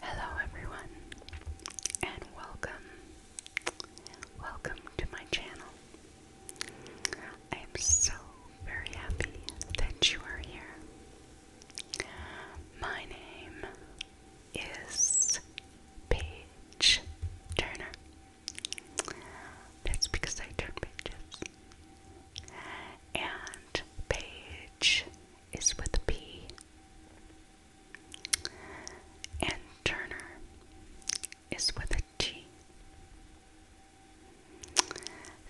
Hello, everyone, and welcome. Welcome to my channel. I am so very happy that you are here. My name is Paige Turner. That's because I turn pages. And Paige is with a P. And Turner is with a T.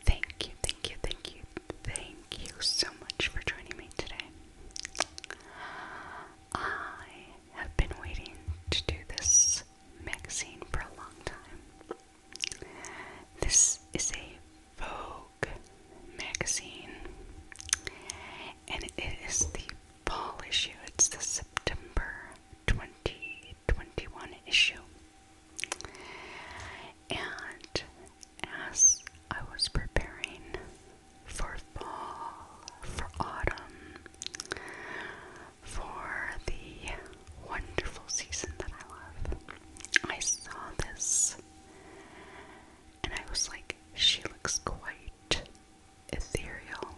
Thank you, thank you, thank you, thank you so much for joining me today. I have been waiting to do this magazine for a long time. This is a Vogue magazine, and it is the fall issue. It's the September 2021 issue. And as I was preparing for fall, for autumn, for the wonderful season that I love, I saw this and I was like, she looks quite ethereal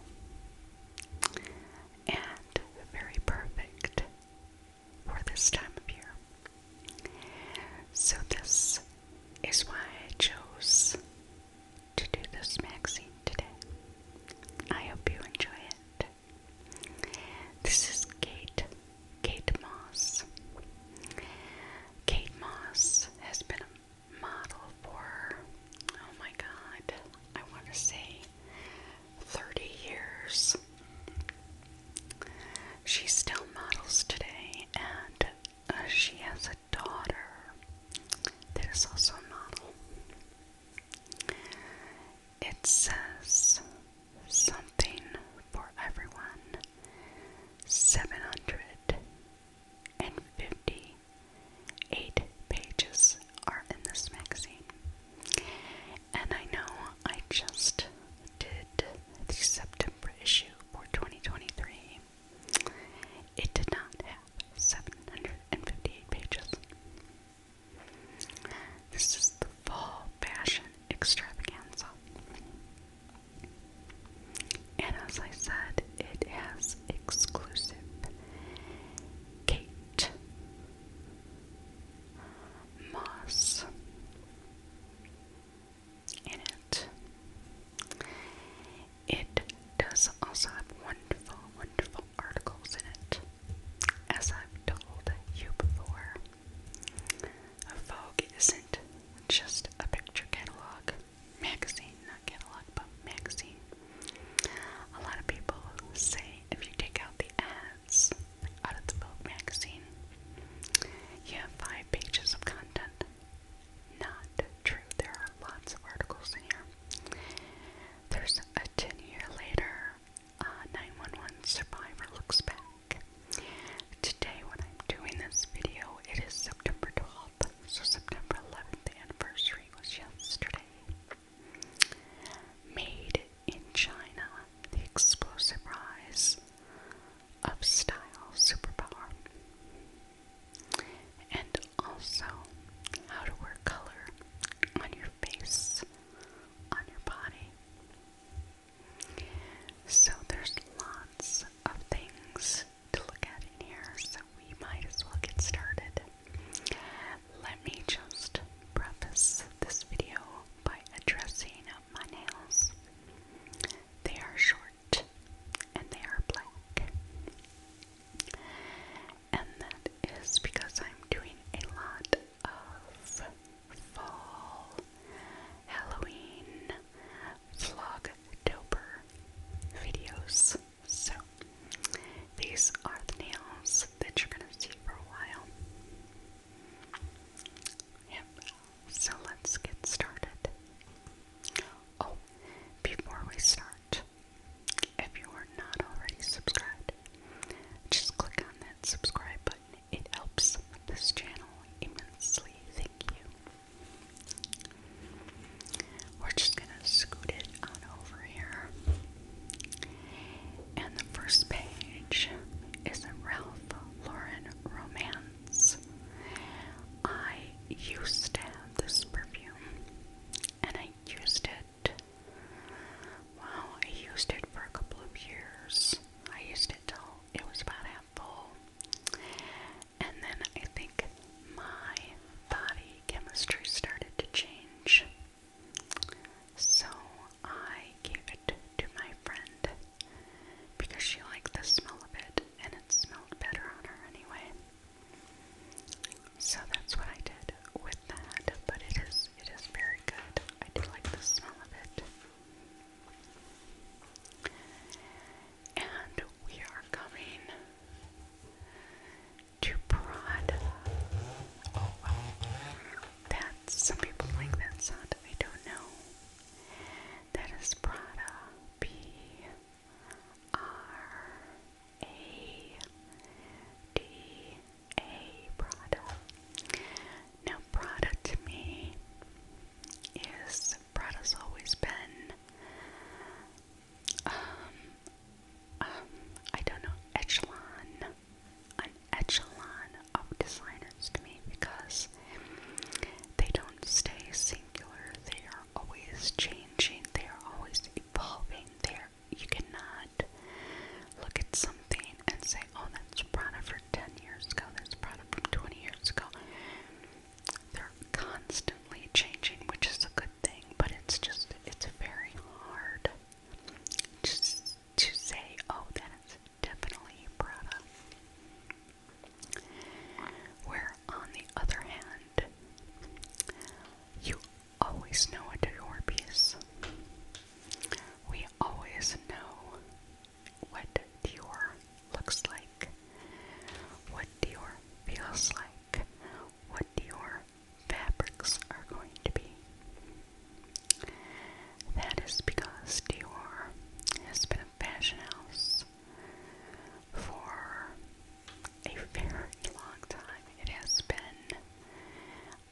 and very perfect for this time of year. So, this is why I chose to do this magazine today. I hope you enjoy it. This is Kate Kate Moss. Kate Moss has been a model for, oh my god, I want to say 30 years. She still models today and uh, she has a daughter that is also a model. It says Something for everyone. Seven hundred and fifty eight pages are in this magazine. And I know I just did the September issue for 2023. It did not have 758 pages. This is the fall fashion extravaganza. And as I said, it has exclusive Kate Moss in it. It does also have wonderful, wonderful articles in it, as I've told you before. Vogue isn't just a picture catalog, magazine, not catalog, but magazine. A lot of people say if you take out the ads out of the Vogue magazine, you have five pages of content. Not true. There are lots of articles in here. There's a 10 year later uh, 911 survivor looks back. Today, when I'm doing this video, it is September 12th, so September 11th, the anniversary was yesterday. Made in China, the explosive rise of style superpower. And also, how to wear color on your face, on your body. So there's lots of things to look at in here, so we might as well get started. Let me just preface this video by addressing my nails. They are short and they are black. And that is because I'm doing a lot of fall, Halloween, vlogtober videos. So these are the nails that you're gonna see for a while. So let's get started. Oh, before we start, if you are not already subscribed, just click on that subscribe button it helps this channel immensely. Thank you. We're just going to scoot it over here. And the first page is a Ralph Lauren romance. I used to have this perfume and I used it. Wow, I used it for a couple of years. I used it till it was about half full. And then I think my body chemistry started to change. So I gave it to my friend because she liked the smell of it and it smelled better on her anyway. So that's what I did with that, but it is it is very good. I do like the smell of it. And we are coming to prod. Oh, well, that some people like that sound. I don't know. That is Prada. P R A D A Prada. Now, Prada to me is Prada's always been, um, um, I don't know, echelon, an echelon of designers to me because they don't stay singular. They are always changing. They are always evolving. There, you cannot look at something and say, "Oh, that's Prada for 10 years ago, this product from 20 years ago. They're constantly changing, which is a good thing, but it's just, it's very hard just to say, oh, that is definitely Prada. Where, on the other hand, you always know what Dior piece. We always know what Dior looks like, what Dior feels like, what Dior fabrics are going to be. That is because Dior has been a fashion house for a very long time. It has been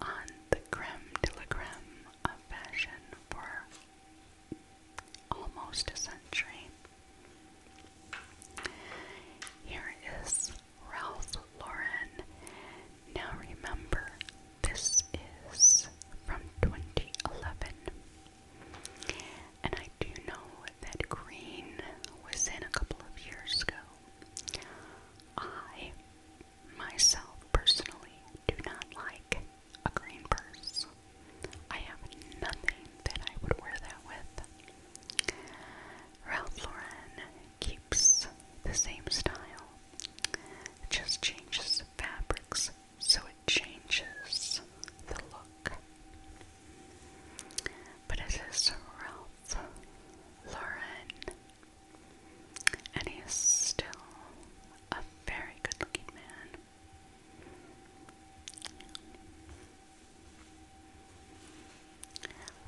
on the creme de la creme of fashion for almost a century. Here is Ralph Lauren. Now remember, this is from 2011. And I do know that green was in a couple of years ago. I myself personally do not like a green purse. I have nothing that I would wear that with. Ralph Lauren keeps the same style, it just changes the fabrics so it changes the look. But it is Ralph Lauren, and he is still a very good looking man.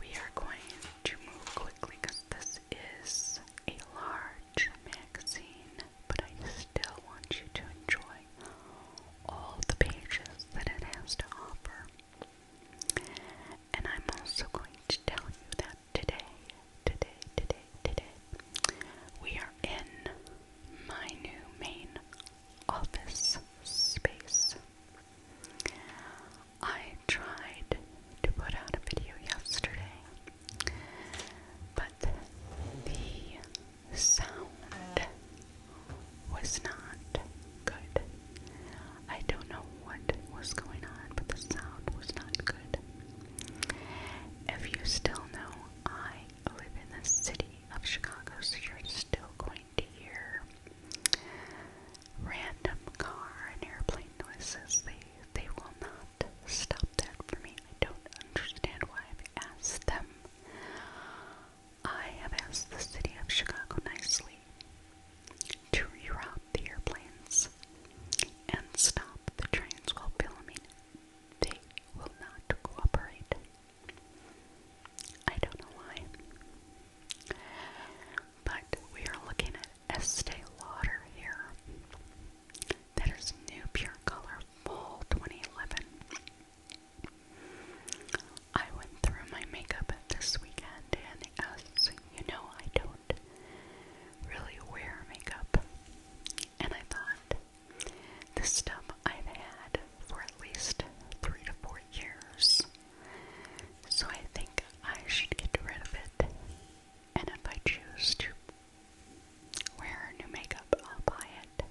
We are going to move quickly because this is a large magazine, but I still want you to enjoy all the pages that it has to offer. And I'm also going to tell you that today today, today, today, we are in my new main office space. I tried to put out a video yesterday, but the sound was not good. I don't know what was going on, but the sound was not good. If you still know, I I live in the city of Chicago, so you're still going to hear random car and airplane noises. They they will not stop that for me. I don't understand why I've asked them. I have asked the city of Chicago nicely to reroute the airplanes and stop the trains while filming they will not cooperate. I don't know why. But we are looking at Estee Lauder here. That is new pure color fall 2011. I went through my makeup this weekend, and as you know, I don't really wear makeup. And I thought, this stuff I've had for at least three to four years. So I think I should get rid of it. And if I choose to wear new makeup, I'll buy it.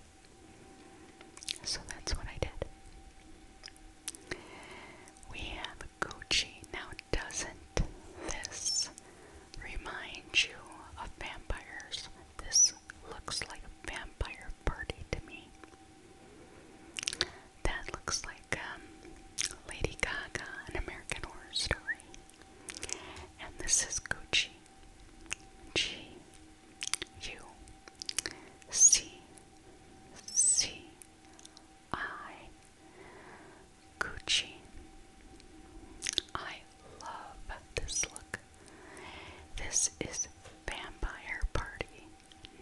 So that's what I did. We have Gucci. Now, doesn't this remind you of vampires? This looks like a vampire party to me. That looks like um, Lady Gaga, an American Horror Story. And this is Gucci. G U C C I Gucci. I love this look. This is Vampire Party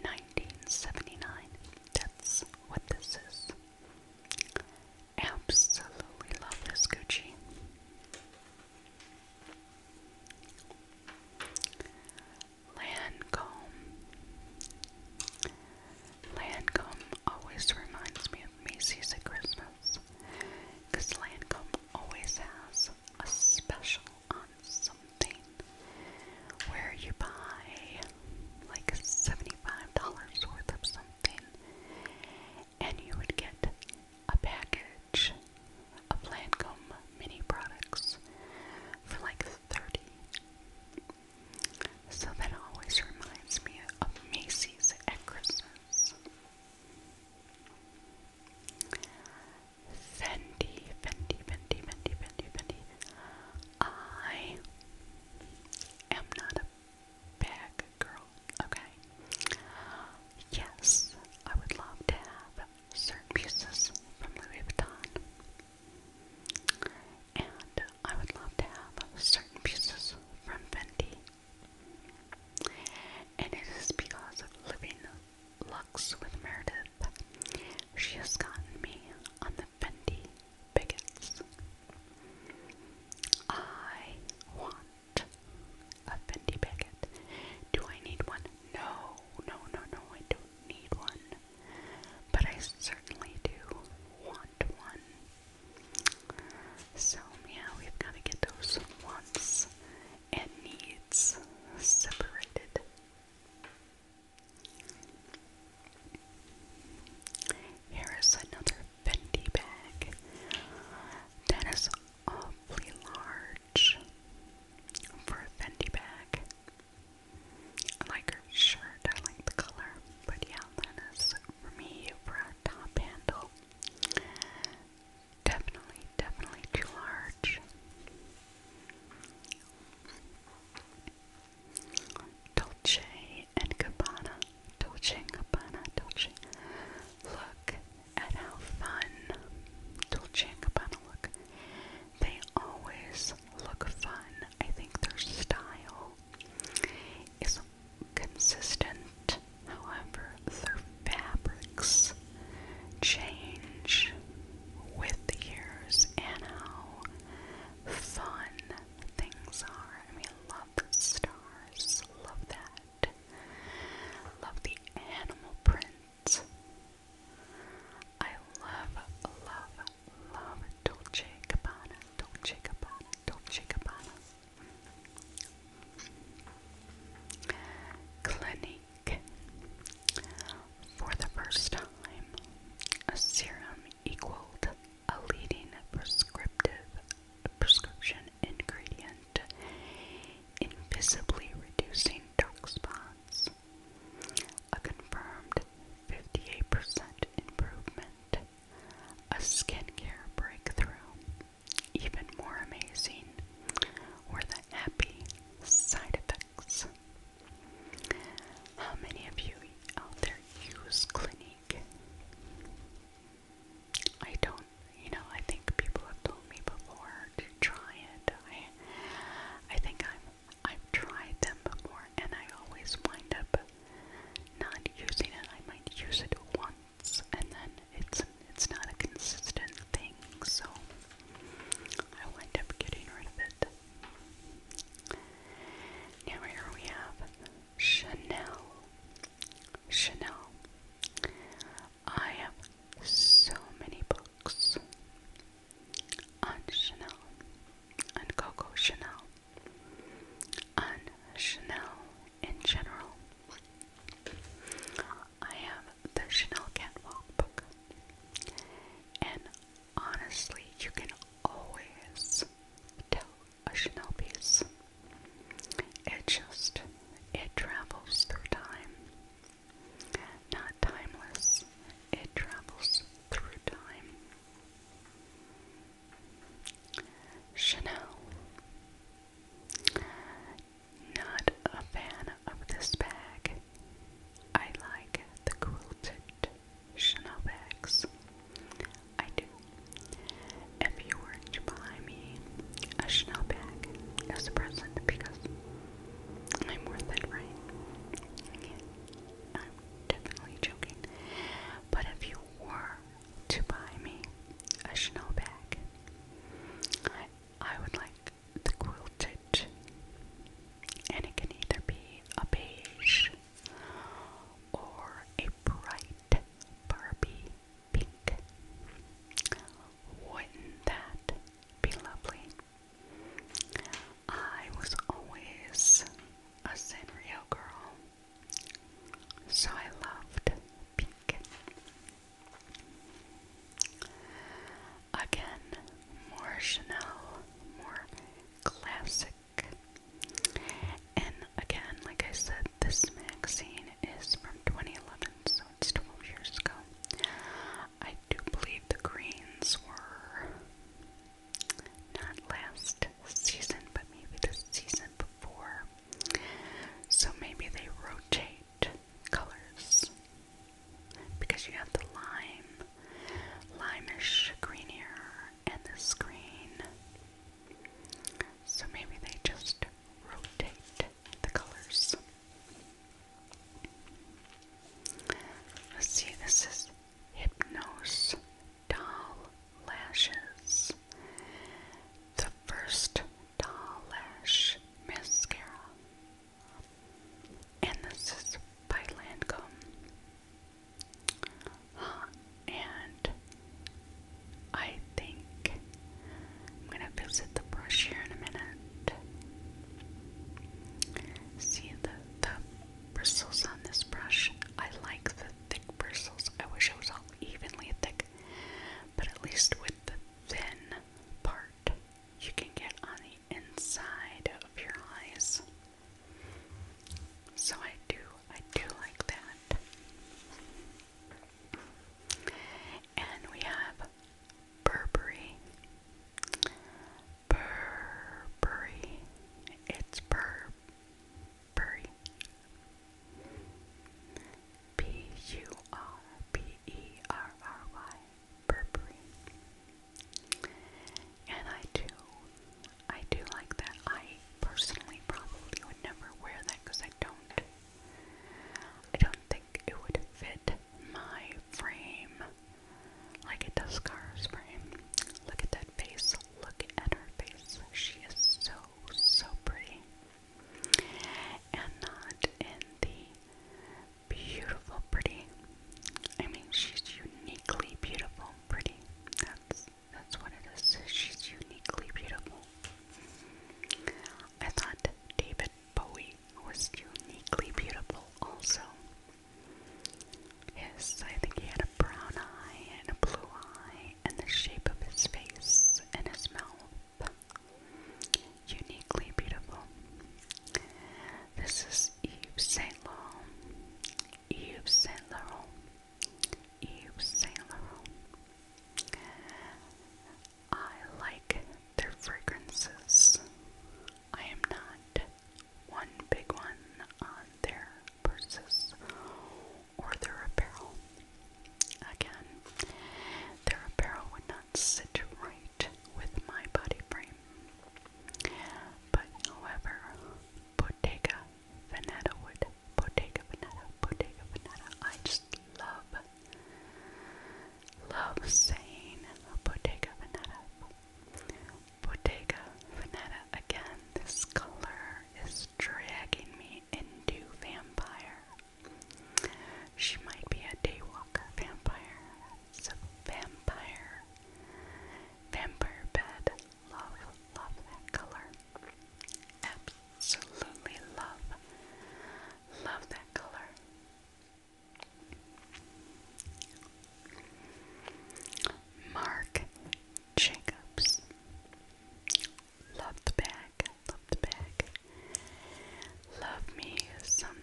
1979. That's what this is. Absolutely love this Gucci. Lancome. Lancome always reminds me of Macy's at Christmas because Lancome always has a special on something where you buy like $75 worth of something and you would get a package of Lancome mini products for like 30 so that always reminds me of Macy's at Fendi, Fendi, Fendi, Fendi, Fendi, Fendi. I am not a bag girl, okay? Yes, I would love to have certain pieces from Louis Vuitton. And I would love to have certain pieces from Fendi. And it is because of living Lux with Meredith. She has gotten me on the Fendi bigots. I want a Fendi bigot. Do I need one? No, no, no, no, I don't need one. But I certainly do want one. So, yeah, we've got to get those wants and needs separated. Here is another Fendi bag that is awfully large for a Fendi bag. I like her shirt, I like the color, but yeah, that is for me for a top handle. Definitely, definitely too large. Dolce and Gabbana, Dolce and Gabbana, Dolce. Look at how fun Dolce and Gabbana look. They always look fun. I think their style is consistent, however, their fabrics change with the years and how fun things are. I mean, love the stars, love that. Love the animal print. I love, love, love Dolce Gabbana, Dolce Gabbana, Dolce Gabbana. Clinique. For the first time, a serum equaled a leading prescriptive prescription ingredient, invisibly reducing dark spots. A confirmed 58% improvement. A skincare breakthrough even more amazing were the happy side effects. How many of you out there use Clinique? I don't, you know, I think people have told me before to try it. I, I think I'm, I've tried them before and I always wind up not using it. I might use it once and then it's it's not a consistent thing, so I wind up getting rid of it. Now here we have Chanel. Chanel. I have so many books on Chanel, on Coco Chanel, on Chanel, in general. I have the Chanel Catwalk book. And honestly, you can always tell a Chanel piece. It just, it travels through time. Not timeless, it travels through time. Chanel. Not a fan of this bag. I like the quilted Chanel bags. I do. If you were to buy me a Chanel bag as a present, because I'm worth it, right? I'm definitely joking. But if you were to buy me a Chanel bag. I, would like the quilted, and it can either be a beige or a bright Barbie pink. Wouldn't that be lovely? I was always a Sanrio girl, so I loved pink. Again, more Chanel, more classic. And again, like I said, this magazine is from 2011, so it's 12 years ago. I do believe the greens were not last season, but maybe the season before. So maybe they rotate colors because you have the lime, limish greenier, and the green. So maybe they just rotate the colors. Let's see, this is Hypnose Doll Lashes. The first Lash Mascara. And this is by Lancome. And I think I'm going to visit the brush here in a minute. See the, the bristles on this brush? I like the thick bristles. I wish it was all evenly thick but at least with the thin part, you can get on the inside of your eyes. So I do, I do like that. And we have Burberry. Burberry. It's Burberry. P U O P E R R Y, Burberry. And I do, I do like that. I personally probably would never wear that because I don't, I don't think it would fit my frame like it does Cara's frame. Look at that face. Look at her face. She is so, so pretty and not in the beautiful pretty. I mean, she's uniquely beautiful pretty. That's that's what it is. She's uniquely beautiful. I thought David Bowie was uniquely beautiful also. His, I think he had a brown eye and a blue eye and the shape of his face and his mouth uniquely beautiful. This is Yves Saint Laurent. Yves Saint Laurent. Yves Saint Laurent. I like their fragrances. I am not one big one on their purses or their apparel. Again, their apparel would not sit right with my body frame. But however, Bottega Veneta would. Bottega Veneta, Bottega Veneta. I just love, love saying Bottega Veneta. Bottega Veneta. Again, this color is dragging me into vampire. She might be a daywalker vampire. vampire. Vampire bed. Love, love that color. Absolutely love. Love that color. Mark Jacobs. Love the bag, love the bag. Love me some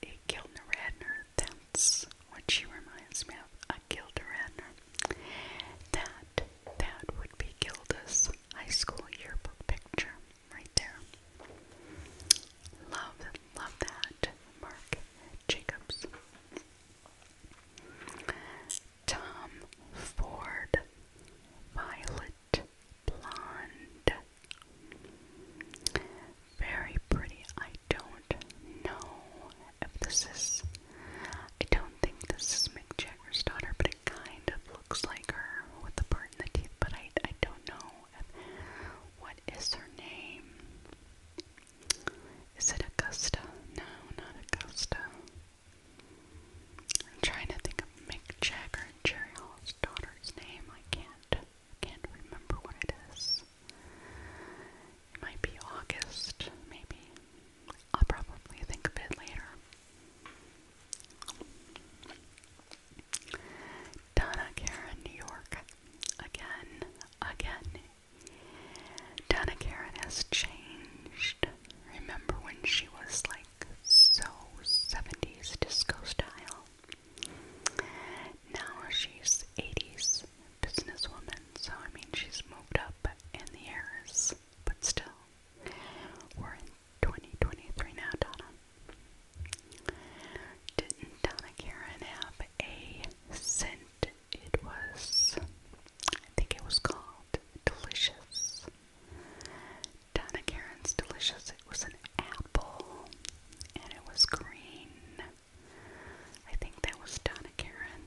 Gilda Gildner Radner. That's what she reminds me of. A Gilda Radner. That that would be Gilda's high school yearbook picture right there. Love, love that, Mark Jacobs. Tom Ford, Violet blonde. Very pretty. I don't know if this is. I don't think this is Mick daughter, but it kind of looks like her with the part in the teeth. But I, I don't know. what is her name? Is it Augusta? No, not Augusta. I'm trying to think of Mick Jagger and Jerry Hall's daughter's name. I can't can't remember what it is. It might be August, maybe. I'll probably think of it later. Donna Karen, New York. Again, again. Donna Karen has changed. Remember when she was like so 70s disco style. Now she's 80s businesswoman, so I mean she's moved up in the years, but still, we're in 2023 now, Donna. Didn't Donna Karen have a scent? It was, I think it was called Delicious. Donna Karen's Delicious. It was an apple and it was green. I think that was Donna Karen.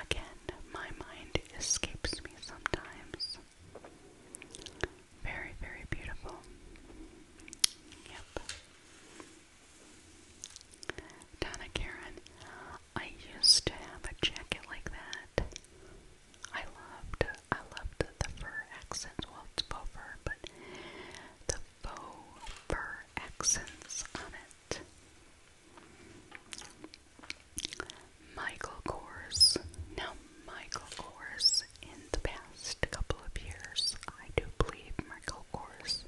Again, my mind escapes me sometimes. Very, very beautiful. Yep. Donna Karen, I used to have a jacket like that. I loved I loved the fur accents. Well, it's faux fur, but the faux fur accents on it. Michael Kors. Now, Michael Kors, in the past couple of years, I do believe Michael Kors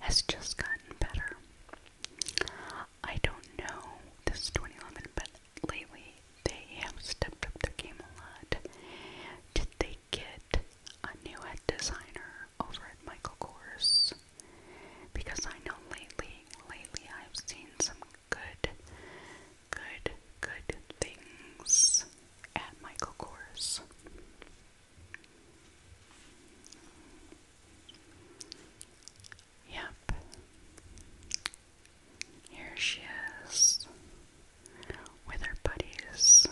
has just gotten better. I don't know, this is 2011, but lately they have stepped up their game a lot. Did they get a new head designer over at Michael Kors? Because I know lately, lately I've seen some good, good, good things at Michael Kors. Yep. Here she is with her buddies.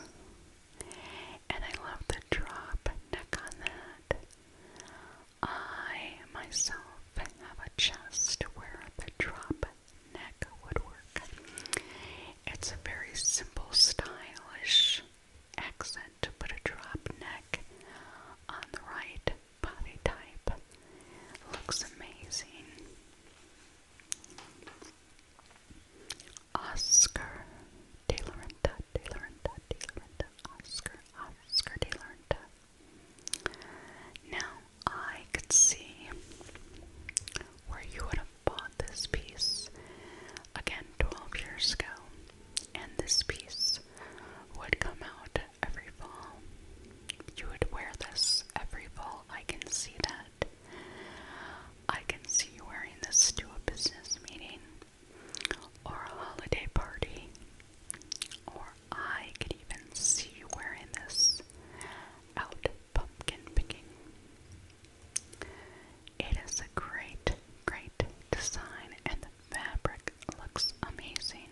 And I love the drop neck on that. I myself have a chest where the drop neck would work. It's a very simple, stylish accent to put a drop neck on the right body type looks amazing. Oscar De La De La De La Oscar, Oscar De La Now I could see where you would have bought this piece again 12 years ago, and this piece would come out every fall. You would wear this every fall. I can see that. I can see you wearing this to a business meeting or a holiday party. Or I could even see you wearing this out pumpkin picking. It is a great, great design and the fabric looks amazing.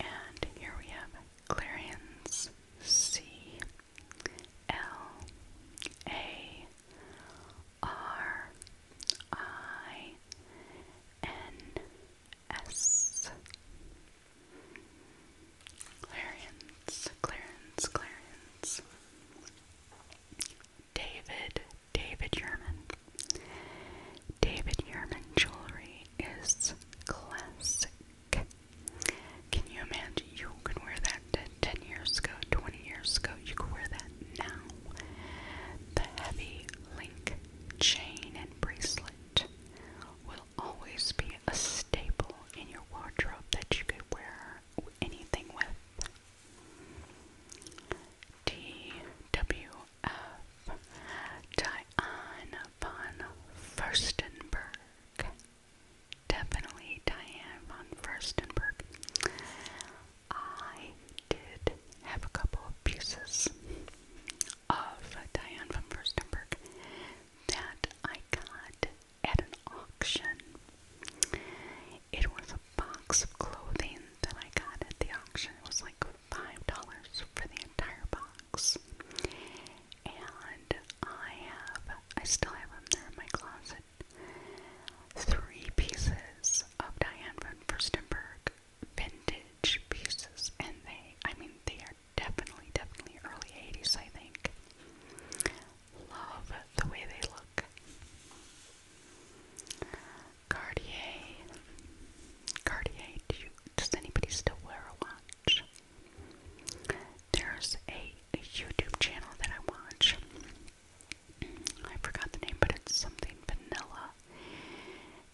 And here we have Clarions C L A R I N S. Clarence, Clarence, Clarence. David David Yerman. David Yerman jewelry is classic. Can you imagine? You could wear that 10 years ago, 20 years ago. You could wear that now. The heavy link chain and bracelet will always be a staple in your wardrobe that you could wear anything with. DWF Diane von Furstenberg. Definitely Diane von Furstenberg. I did have a couple pieces of Diane von Furstenberg that I got at an auction. It was a box of clothing that I got at the auction. It was like five dollars for the entire box. And I have I still have them there in my closet. Three pieces of Diane von Furstenberg vintage pieces and they I mean they are definitely, definitely early 80s, I think. Love the way they look. Cartier. Cartier, do you, does anybody still wear a watch? There's a, YouTube channel that I watch. I forgot the name, but it's something vanilla.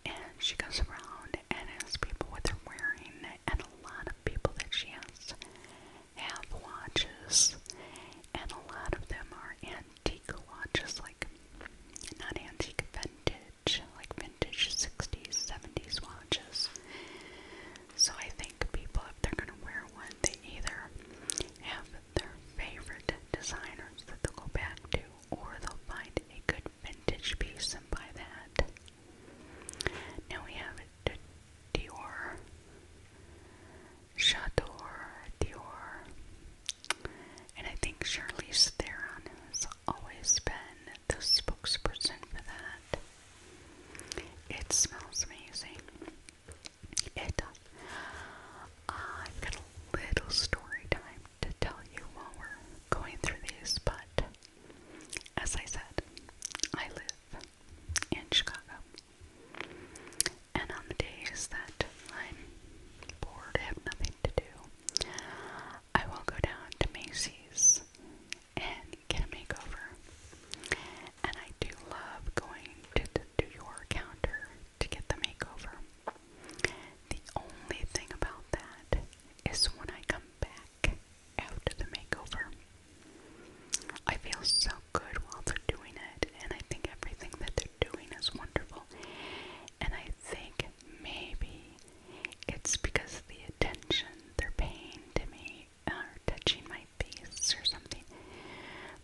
And she goes around and asks people what they're wearing, and a lot of people that she asks have watches, and a lot of them are in antique watches, like not antique, vintage, like vintage 60s, 70s watches. So I think people, if they're going to wear one, they either have their favorite designers that they'll go back to, or they'll find a good vintage piece and buy that. Now we have Dior, Chateau Dior, and I think Charlize Theron has always been the spokesperson for that. It smells amazing. It does. Uh, I've got a little story time to tell you while we're going through these, but as I said, I live in Chicago. And on the days that I'm bored, have nothing to do, I will go down to Macy's and get a makeover. And I do love going to, the, to your counter to get the makeover. The only thing about that is when I come back after the makeover. I feel so good while they're doing it, and I think everything that they're doing is wonderful. And I think maybe it's because the attention they're paying to me or touching my face or something.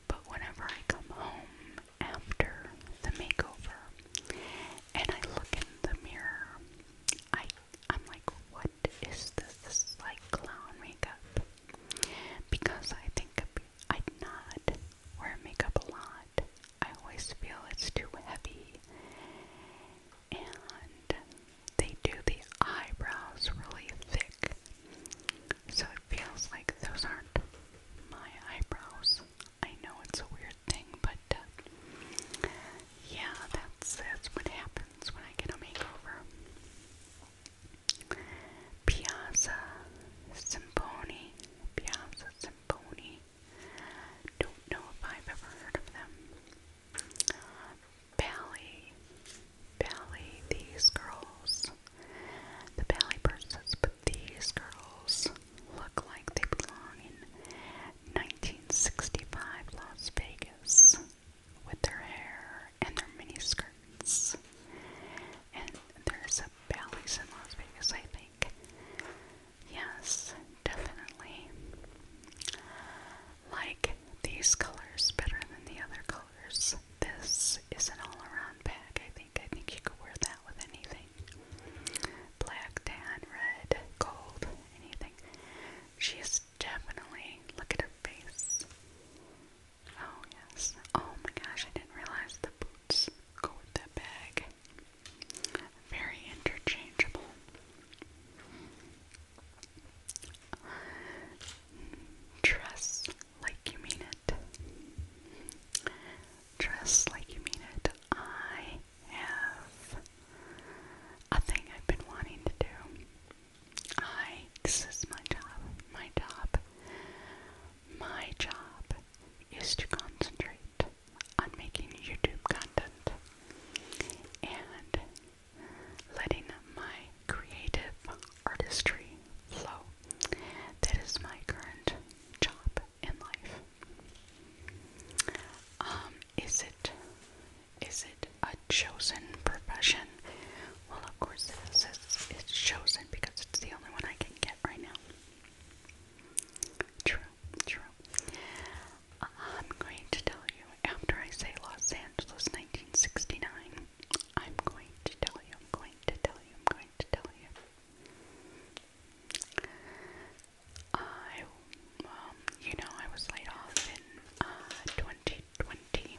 But whenever I come home after the makeover and I look in the mirror, I I'm like, what is this? This is like clown makeup. Because I think I'm not wear makeup a lot, I always feel it's too heavy. And they do the eyebrows really thick. So it feels like those aren't my eyebrows. I know it's a weird thing, but uh, yeah, that's that's what happens when I get a makeover. Piazza Symphony, Piazza Symphony. Pony. Don't know if I've ever heard of them. Bally. Bally, these girls. The Bally persons, but these girls look like they belong in 1965 Las Vegas with their hair and their mini skirts. And there's a Bally's in Las Vegas, I think. Yes, definitely. Like these colors better than the other colors. This is an all around bag, I think. I think you could wear that with anything black, tan, red, gold, anything. She's definitely, look at her face. Oh, yes. Oh my gosh, I didn't realize the notes go with that bag. Very interchangeable. Dress like you mean it. Dress like you mean it. I have a thing I've been wanting to do. I, this is my job. My job. My job is to concentrate on making YouTube content and letting my creative artistry flow. That is my current job in life. Um, is it is it a chosen profession? Well, of course it is. It's, it's chosen because it's the only one I can get right now. True, true. Uh, I'm going to tell you after I say Los Angeles 1969. I'm going to tell you, I'm going to tell you, I'm going to tell you. I, um, you know, I was laid off in uh, 2020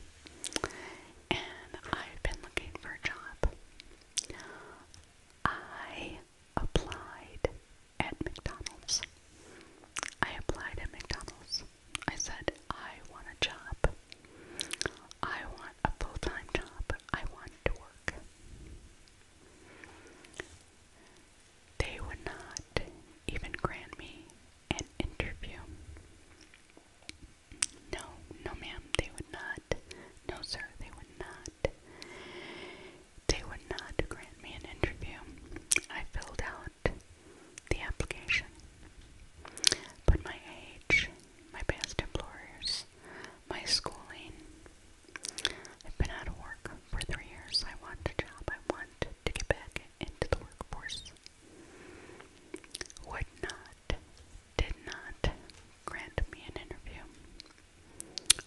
and I've been looking for a job. I applied at McDonald's. I applied at McDonald's. I said, I want a job. I want a full time job. I want to work. They would not even grant me an interview. No, no, ma'am, they would not. No, sir, they would not. They would not grant me an interview. I filled out the application. But my age, my past employers, my schooling, I've been out of work for three years. I want a job. I want to get back into the workforce. Would not, did not grant me an interview.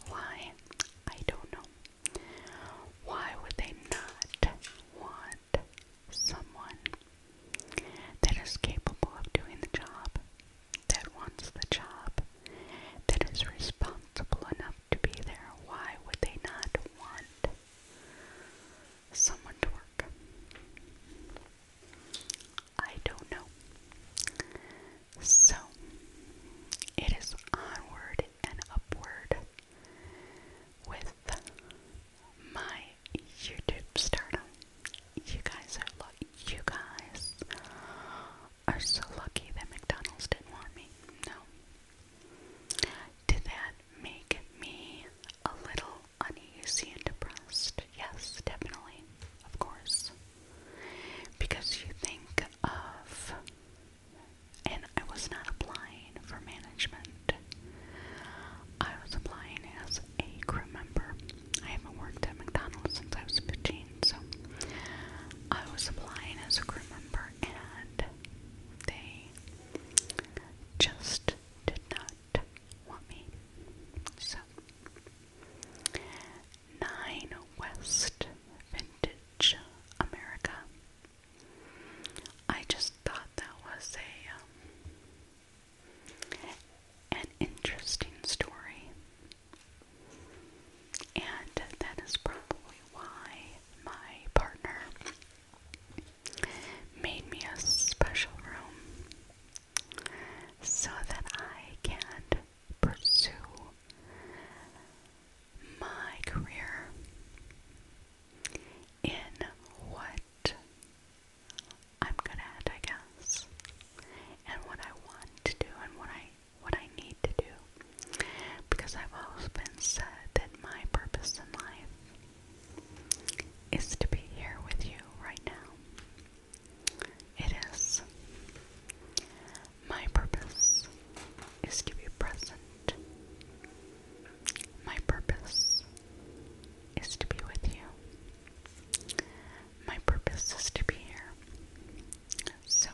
Why? I don't know. Why would they not want someone that is capable of doing the job, that wants the job, that is responsible enough to be there? Why would they not want someone to work? I don't know. So it is onward and upward with my YouTube stardom. You guys are lucky. You guys are so lucky that McDonald's didn't want me. No. Did that make me a little uneasy and depressed? Yes, definitely. Of course. Because you think of, and I was not applying for management, I was applying as a crew member. I haven't worked at McDonald's since I was 15, so I was applying as a crew member, and they just did not want me. So Nine West Vintage America. I just thought that was a um, an interesting story, and that is probably why my partner made me a special room so that I can pursue my career in what I'm good at, I guess, and what I want to do and what I what I need to do, because I've always been said that my purpose in life is to be here with you right now. It is my purpose is to be present. My purpose is to be with you. My purpose is to be here. So,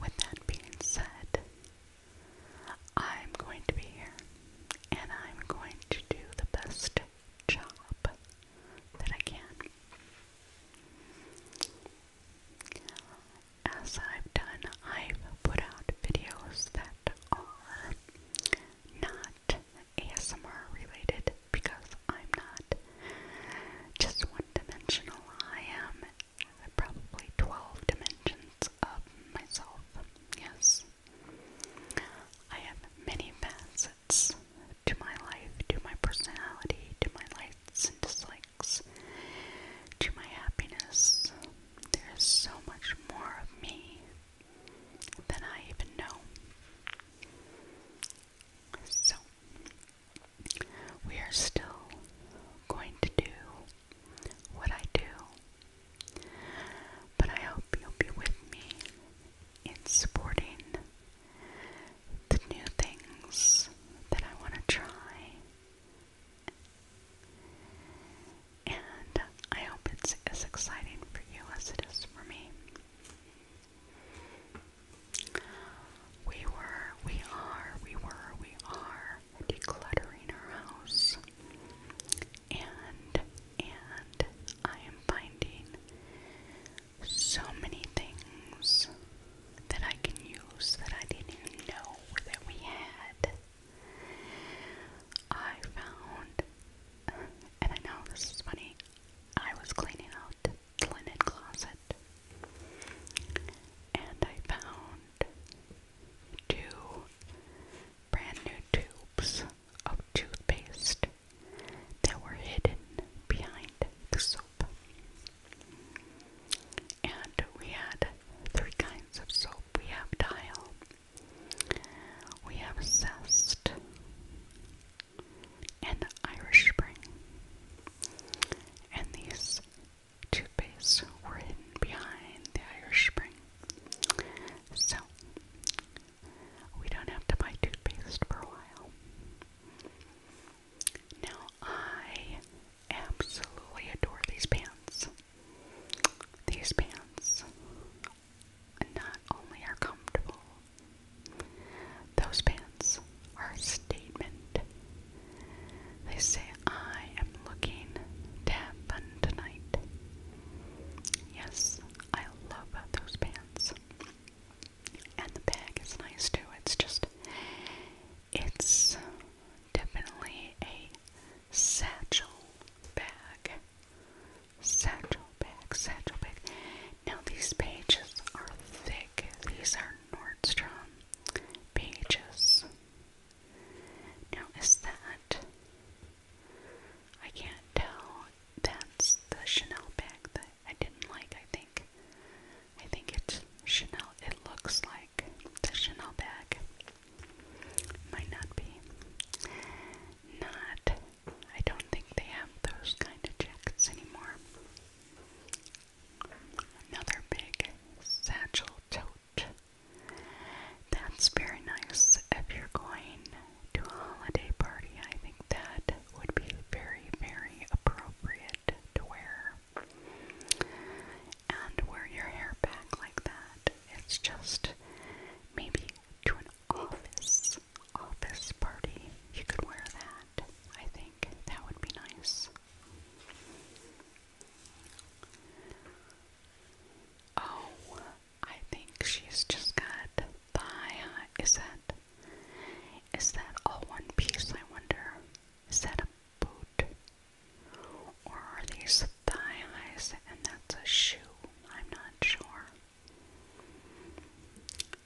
with that being said, I'm going to be here and I'm going to do the best job that I can. As I've done, I've put out videos that are not ASMR related because I'm not just one dimensional. I am probably 12 dimensions of myself. Yes. I have many facets to my life, to my personality, to my likes and dislikes, to my happiness. There is so much more of me than I even know. So, we are still going to do what I do, but I hope you'll be with me in supporting the new things that I want to try. And I hope it's as exciting for you as it is for me. We were, we are, we were, we are decluttering our house. And, and I am finding so many things that I can use that I didn't even know that we had. I found, and I know this is funny, I was cleaning out the closet and I found two brand new tubes of toothpaste that were hidden behind the soap. And we had three kinds of soap. We have Dial, we have Zest, and Irish Spring. And these toothpaste were hidden behind the Irish Spring. So, we don't have to buy toothpaste for a while. Now, I absolutely adore these pants. These pants not only are comfortable, those pants are a statement. They say, I am looking to have fun tonight. Yes, I love those pants. And the bag is nice too. It's just, it's definitely a satchel bag. Satchel bag, satchel bag. Now these pages are thick. These are Nordstrom pages. Now is that, I can't tell, that's the Chanel bag I didn't like, I think. I think it's Chanel. It looks like the Chanel bag. Might not be. Not. I don't think they have those kind of jackets anymore. Another big satchel tote. That's very nice if you're going to a holiday party. I think that would be very, very appropriate to wear. And wear your hair back like that. It's just maybe to an office office party. You could wear that. I think that would be nice. Oh, I think she's just got thigh high. Is that is that all one piece, I wonder? Is that a boot? Or are these thigh and that's a shoe? I'm not sure.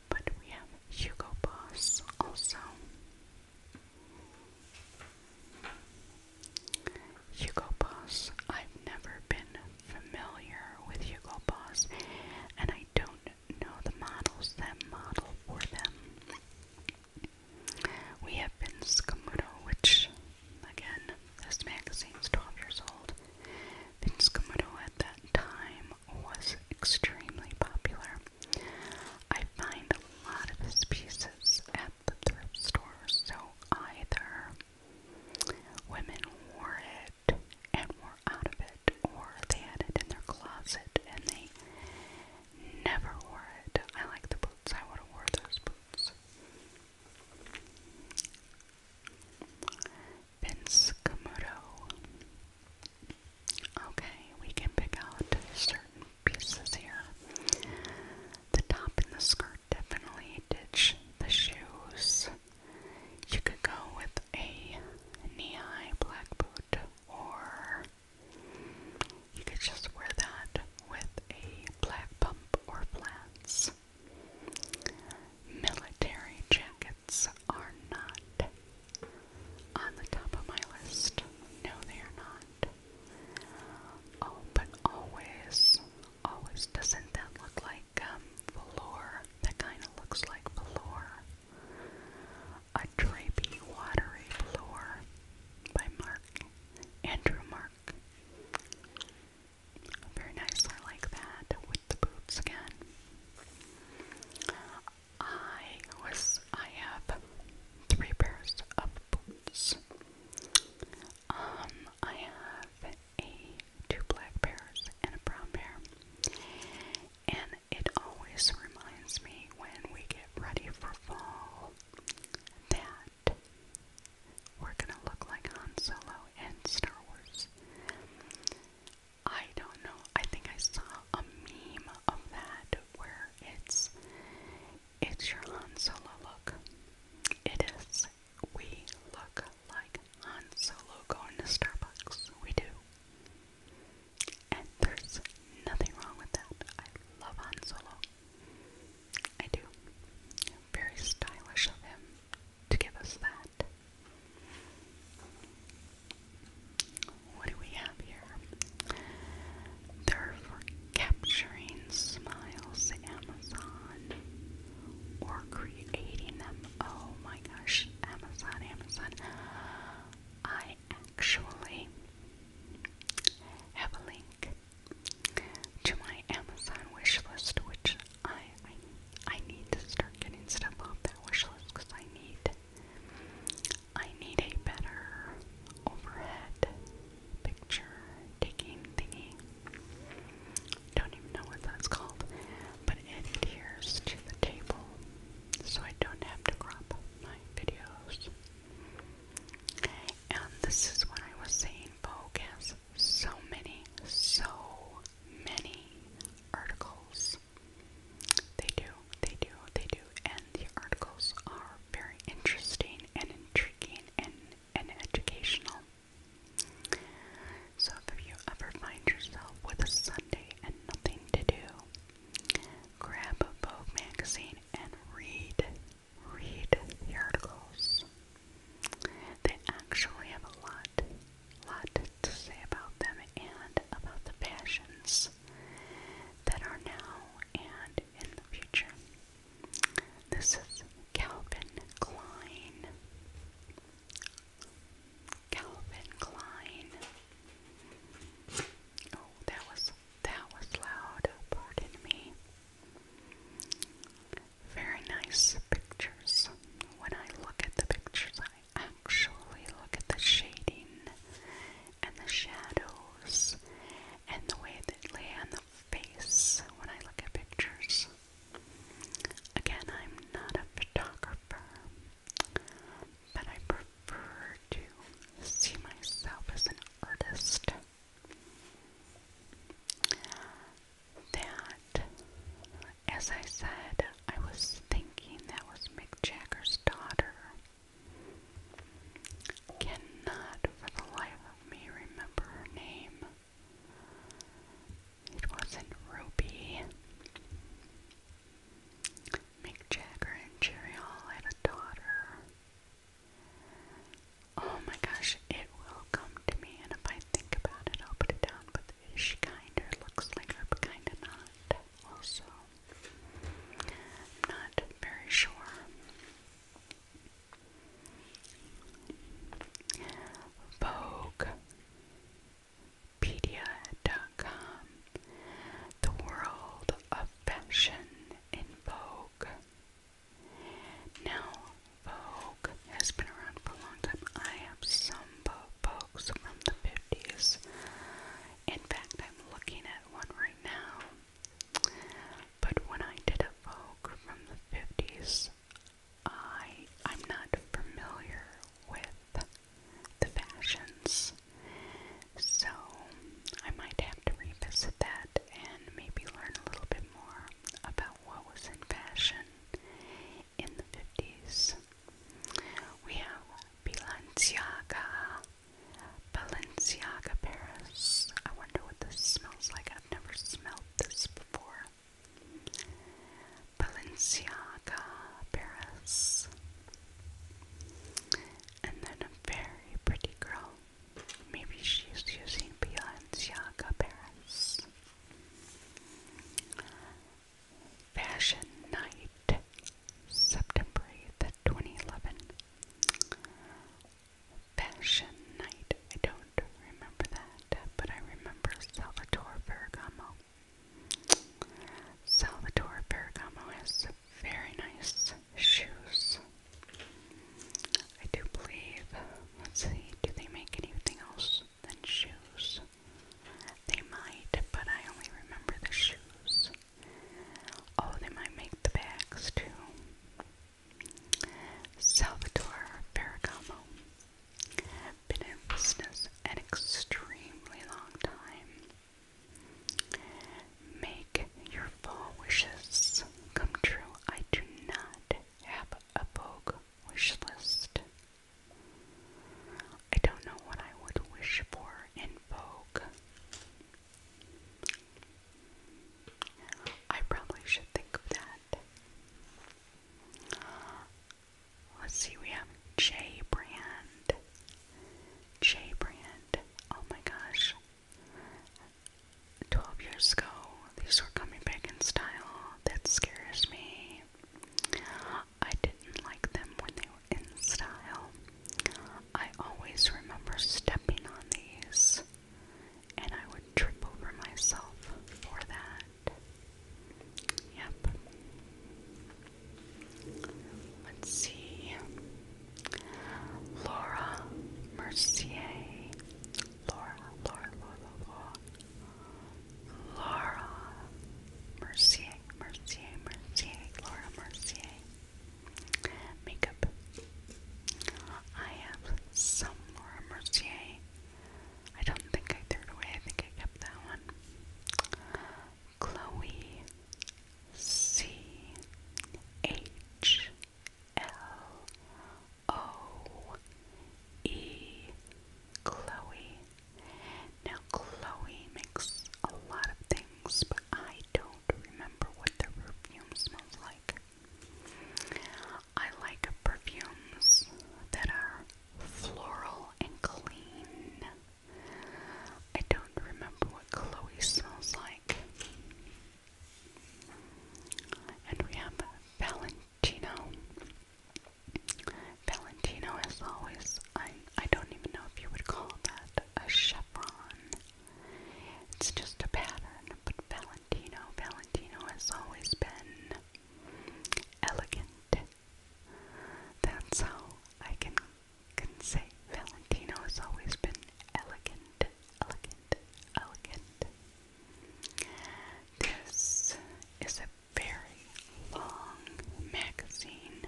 But we have Hugo Boss also. Hugo Boss. I've never been familiar with Hugo Boss, and I don't know the models that model for them. We have been Camuto, which, again, this magazine's 12 years old. Vince at that time was extremely popular. I find a lot of his pieces at the thrift store, so either women wore it and were out of it, or they had it in their closet and they never wore it. I like the boots, I would have wore those boots. Vince Camuto. Okay, we can pick out certain pieces here. The top and the skirt definitely ditch the shoes. You could go with a knee-high black boot, or you could just wear that with a black pump or flats. Military jackets are not on the top of my list. No, they are not. Oh, but always, always, doesn't that look like um, velour? That kind of looks like velour. A Drapey Watery Floor by Mark Andrew Mark. Very nice, I like that with the boots again. I was I have three pairs of boots. Um, I have a two black pairs and a brown pair. And it always reminds me when we get ready for fall that we're going to look like Han Solo and Star Wars. I don't know. I think I saw a meme of that where it's it's your Han Solo look. It is. We look like Han Solo going to Starbucks. We do. And there's nothing wrong with that. I love Han Solo. I do. Very stylish of him to give us that. What do we have here? They're for capturing smiles Amazon or creating them. Oh my gosh, Amazon, Amazon. I actually have a link to my Amazon wish list, which I I, need to start getting stuff off that wish list because I need I need a better overhead picture taking thingy. Don't even know what that's called, but it adheres to the table so I don't have to crop my videos. And this is what I was saying, Vogue so many, so many articles. They do, they do, they do, and the articles are very interesting and intriguing and, and educational. So if you ever find yourself with a Sunday and nothing to do, Grab a Vogue magazine and read, read the articles. They actually have a lot, lot to say about them and about the fashions that are now and in the future. This is Calvin Klein. Calvin Klein. Oh, that was that was loud. Pardon me. Very nice pictures. When I look at the pictures, I actually look at the shading and the shadows and the way they lay on the face when I look at pictures. Again, I'm not a photographer, but I prefer to see myself as an artist. That, as I said, I was thinking that was Mick Jagger's daughter. Cannot for the life of me remember her name. It wasn't Ruby. Mick Jagger and Jerry Hall had a daughter. Oh my gosh, it will come to me, and if I think about it, I'll put it down. But she kind looks like her, but kinda not. Also, not very sure. Vogue. Wikipedia.com, the world of fashion in Vogue. Now, Vogue has been around for a long time. I have some Vogues from the 50s. In fact, I'm looking at one right now. But when I did a Vogue from the 50s, I, I'm not familiar with the fashions. So I might have to revisit that and maybe learn a little bit more about what was in fashion in the 50s. We have Balenciaga, Balenciaga Paris. I wonder what this smells like. I've never smelled this before. Balenciaga, Paris. And then a very pretty girl. Maybe she's using Balenciaga, Paris. Fashion Night, September 8th, 2011. Fashion Night, I don't remember that, but I remember Salvatore Ferragamo. Salvatore Ferragamo has very nice shoes. I do believe, let's see, do they make anything else than shoes? They might, but I only remember the shoes. Oh, they might make the bags too. Salvatore Ferragamo. Been in business an extremely long time. Make your fall wishes come true. I do not have a Vogue wish list. I don't know what I would wish for in Vogue. I probably should think of that. Let's see, we have J Brand. J Brand. Oh my gosh. 12 years ago, these were coming back in style. That scares me. I didn't like them when they were in style. I always remember stepping on these, and I would trip over myself for that. Yep. Let's see. Laura Mercier. Laura, Laura, Laura, Laura. Laura Mercier, Mercier, Mercier, Laura Mercier. Makeup. I have some Laura Mercier. I don't think I threw it away, I think I kept that one. Chloe C H L O E Chloe. Now Chloe makes a lot of things, but I don't remember what their perfume smells like. I like perfumes that are floral and clean. I don't remember what Chloe smells like. And we have Valentino. Valentino, as always, I, I don't even know if you would call that a chevron. It's just a pattern, but Valentino, Valentino has always been elegant, that's how I can, can say Valentino has always been elegant, elegant, elegant. This is a very long magazine.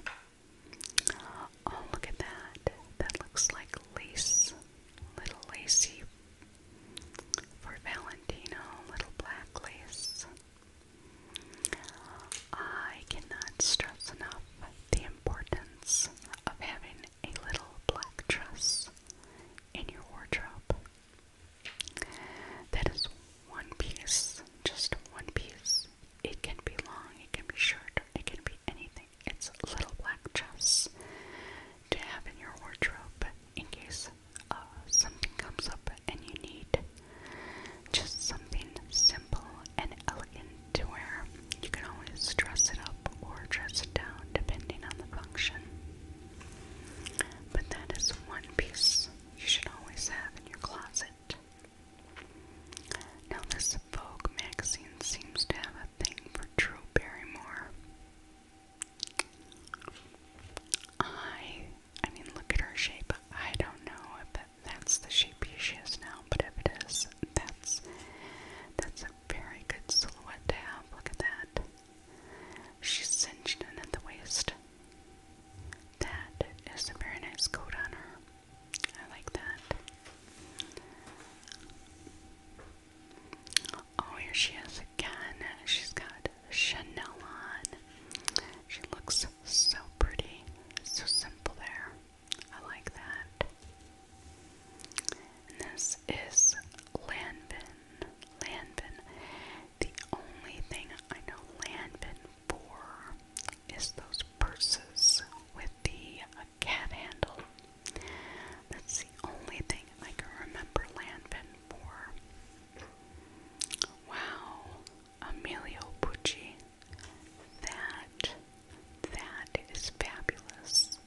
Oh, look at that. That looks like lace. Little lacy for Valentino, little black lace. I cannot stress enough the importance of having a little black dress in your wardrobe. That is one piece, just one piece. It can be long, it can be short, it can be anything. It's a little black dress to have in your wardrobe in case uh, something comes up and you need just something simple and elegant to wear. You can always dress it up or dress it down depending on the function. But that is one piece you should always have in your closet. Now, this Vogue magazine seems to have a thing for Drew Barrymore. I, I mean, look at her shape. I don't know if that's the shape she is now, but if it is, that's that's a very good silhouette to have. Look at that. She's cinched in at the waist. That is a very nice coat on her. I like that. Oh, here she is again. She's got Chanel on. She looks so pretty, so simple there. I like that. this is Lanvin. Lanvin. The only thing I know Lanvin for is those purses with the uh, cat handle. That's the only thing I can remember Lanvin for. Wow, Emilio Pucci. That, that is fabulous.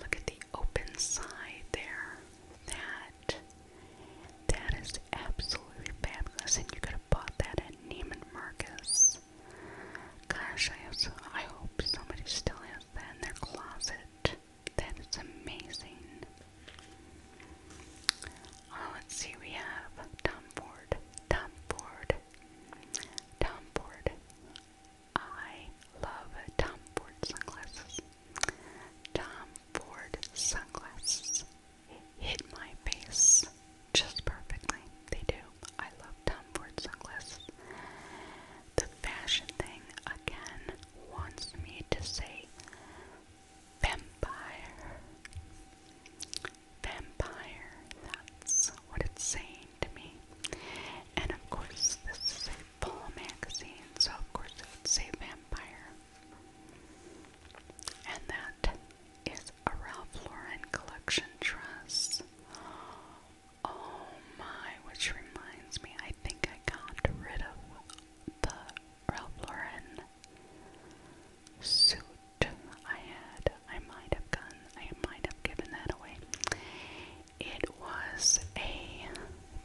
Look at the open side there. That, that is absolutely fabulous. And you could have bought that at Neiman Marcus. Gosh, I hope somebody still has that in their closet. That is amazing. Oh, let's see, we have Tom Ford, Tom Ford, Tom Ford. I love Tom Ford sunglasses. Tom Ford sunglasses hit my face just perfectly. They do. I love Tom Ford sunglasses. The fashion thing again wants me to say vampire vampire. That's what it's saying to me. And of course, this is a fall magazine, so of course it would vampire. And that is a Ralph Lauren collection dress. Oh my, which reminds me, I think I got rid of the Ralph Lauren suit I had. I might have gone, I might have given that away. It was a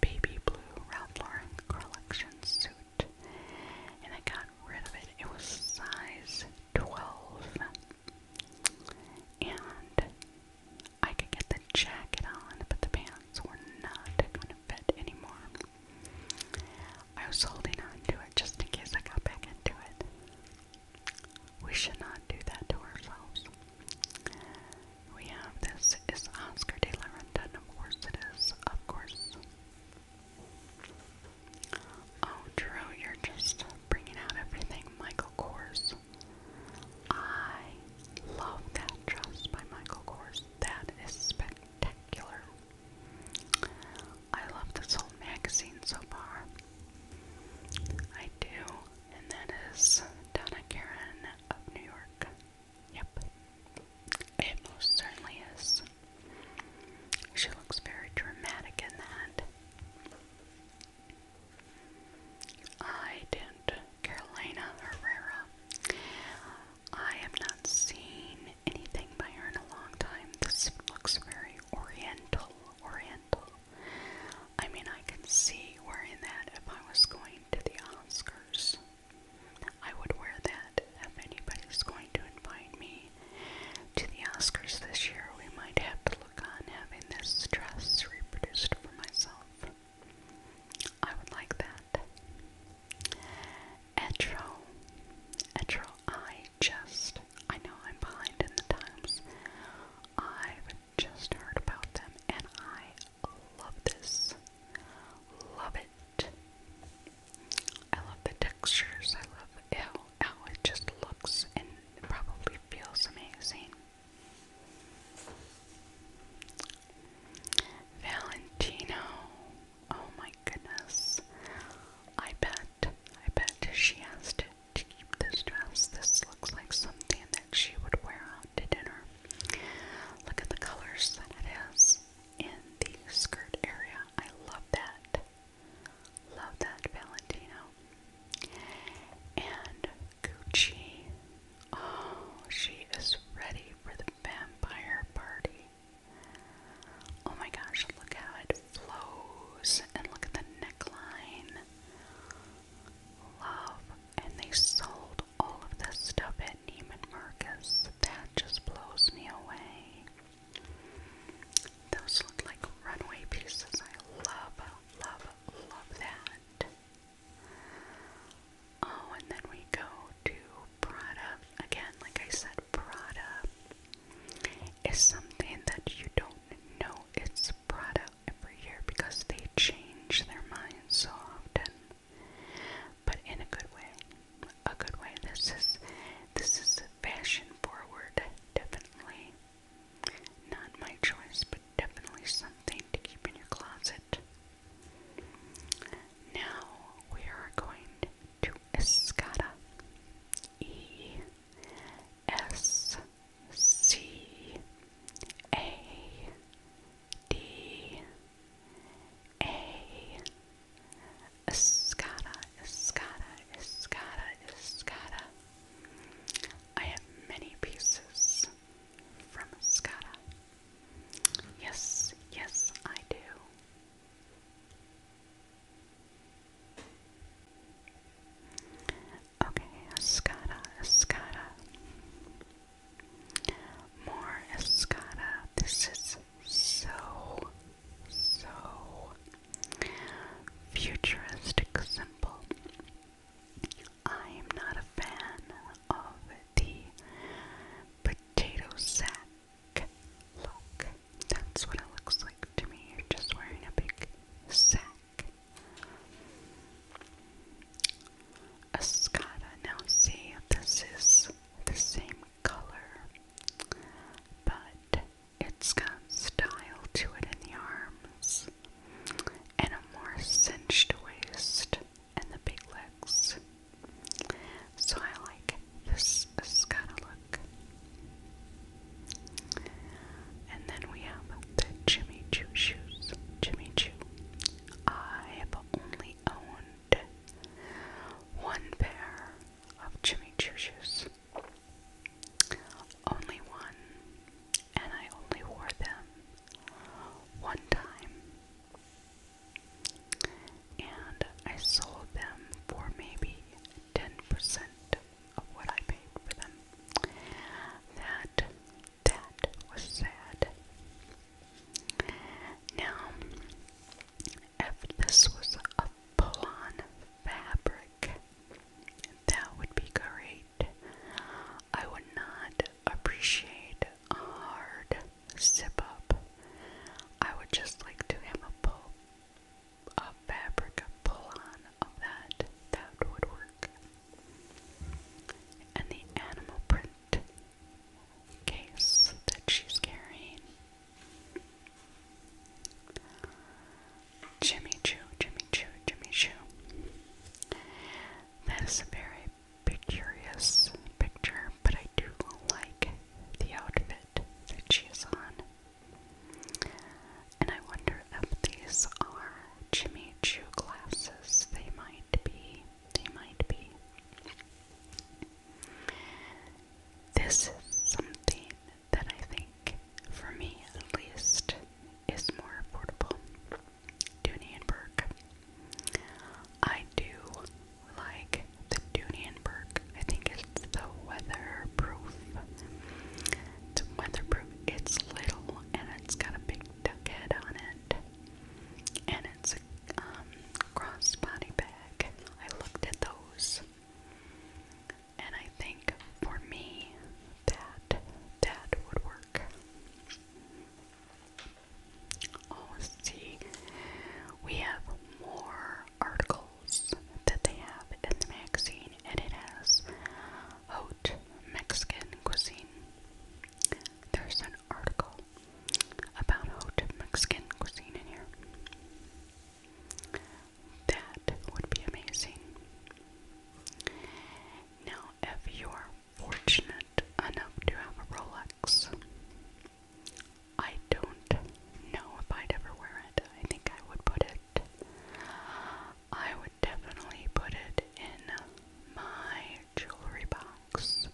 baby blue Ralph Lauren collection suit, and I got rid of it. It was size 12, and I could get the jacket on, but the pants were not going to fit anymore. I was holding on to it just in case I got back into it. We should not do that to ourselves. We have this is Oscar de la Renta, and of course it is, of course. Oh, Drew, you're just bringing out everything Michael Kors. I love that dress by Michael Kors. That is spectacular. I love this whole magazine so far. I do, and that is Donna Karen of New York. Yep, it most certainly is. She looks very dramatic in that. I did Carolina Herrera. I have not seen anything by her in a long time. This looks very oriental, oriental. I mean, I can see wearing that if I was going to the Oscars. I would wear that if anybody's going to invite me to the Oscars this year. We might have to look on having this dress reproduced for myself. I would like that. Etro. Etro, I just I know I'm behind in the times. I've just heard about them and I love this. Love it. I love the textures. I love how, how it just looks and probably feels amazing. Valentino. Oh my goodness. I bet, I bet she has to, to keep this dress. This looks like something that she would wear out to dinner. Look at the colors that it is in the skirt area. I love that. Love that, Valentino. And Gucci. Oh, she is ready for the vampire party. Oh my gosh, look how it flows and look at the neckline. Love. And they sold all of this stuff at Neiman Marcus. That just blows me away. Those look like runway pieces. I love, love, love that. Oh, and then we go to Prada. Again, like I said, Prada is something that you don't know it's brought out every year because they change their minds so often. But in a good way. A good way. This is this is fashion forward, definitely. Not my choice, but definitely something to keep in your closet. Now we are going to Escada. E S C A D A Escada, Escada, Escada, Escada. I have many pieces from Escada. Yes, yes, I do. Okay, escada, escada. More escada. This is so, so futuristic simple. I am not a fan of the potato sack look. That's what it looks like to me. You're just wearing a big sack. Escada. Now see, this is the same color, but it's got style to it in the arms and a more cinched waist and the big legs. So I like this has got to look. And then we have the Jimmy Choo shoes. Jimmy Choo. I have only owned one pair of Jimmy Choo shoes. Only one. And I only wore them one time. And I sold them for maybe 10% of what I paid for them. That, that was sad. Now, if this was a pull-on fabric, that would be great. I would not appreciate a hard zip-up. I would just like to have a pull a fabric pull-on of that, that would work. And the animal print case that she's carrying. Jimmy Choo, Jimmy Choo, Jimmy Choo. That is a very picturesque picture, but I do like the outfit that she is on. And I wonder if these are Jimmy glasses. They might be. They might be. This is something that I think, for me at least, is more affordable. Dooney and Burke. I do like the Dooney and Burke I think it's the weatherproof. It's weatherproof. It's little and it's got a big duck head on it. And it's a um, crossbody bag. I looked at those. And I think for me that that would work. Oh, see, we have more articles that they have in the magazine, and it has haute Mexican cuisine. There's an article about haute Mexican cuisine in here. That would be amazing. Now, if you're fortunate enough to have a Rolex, I don't know if I'd ever wear it. I think I would put it I would definitely put it in my jewelry box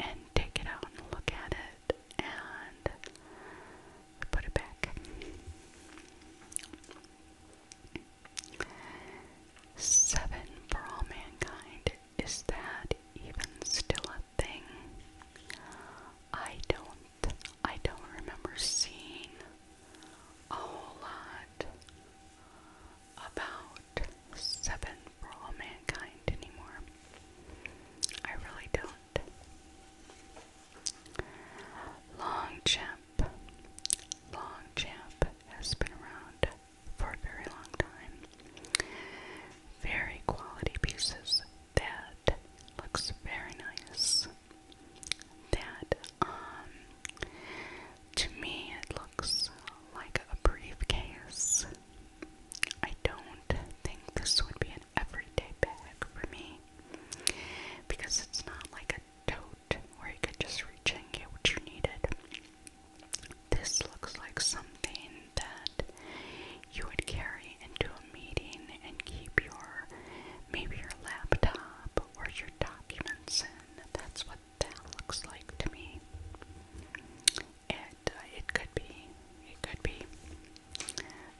and take it out and look at it and put it back. Seven for all mankind. Is that even still a thing? I don't I don't remember seeing a whole lot about Seven for Mankind anymore. I really don't. Longchamp. Longchamp has been around for a very long time. Very quality pieces that that looks very nice. That, um, to me, it looks like a briefcase. I don't think this would be an everyday bag for me because it's not like a tote where you could just reach in and get what you needed. This looks like something that you would carry into a meeting and keep your maybe your laptop or your documents in. That's what that looks like to me. It uh, it could be it could be.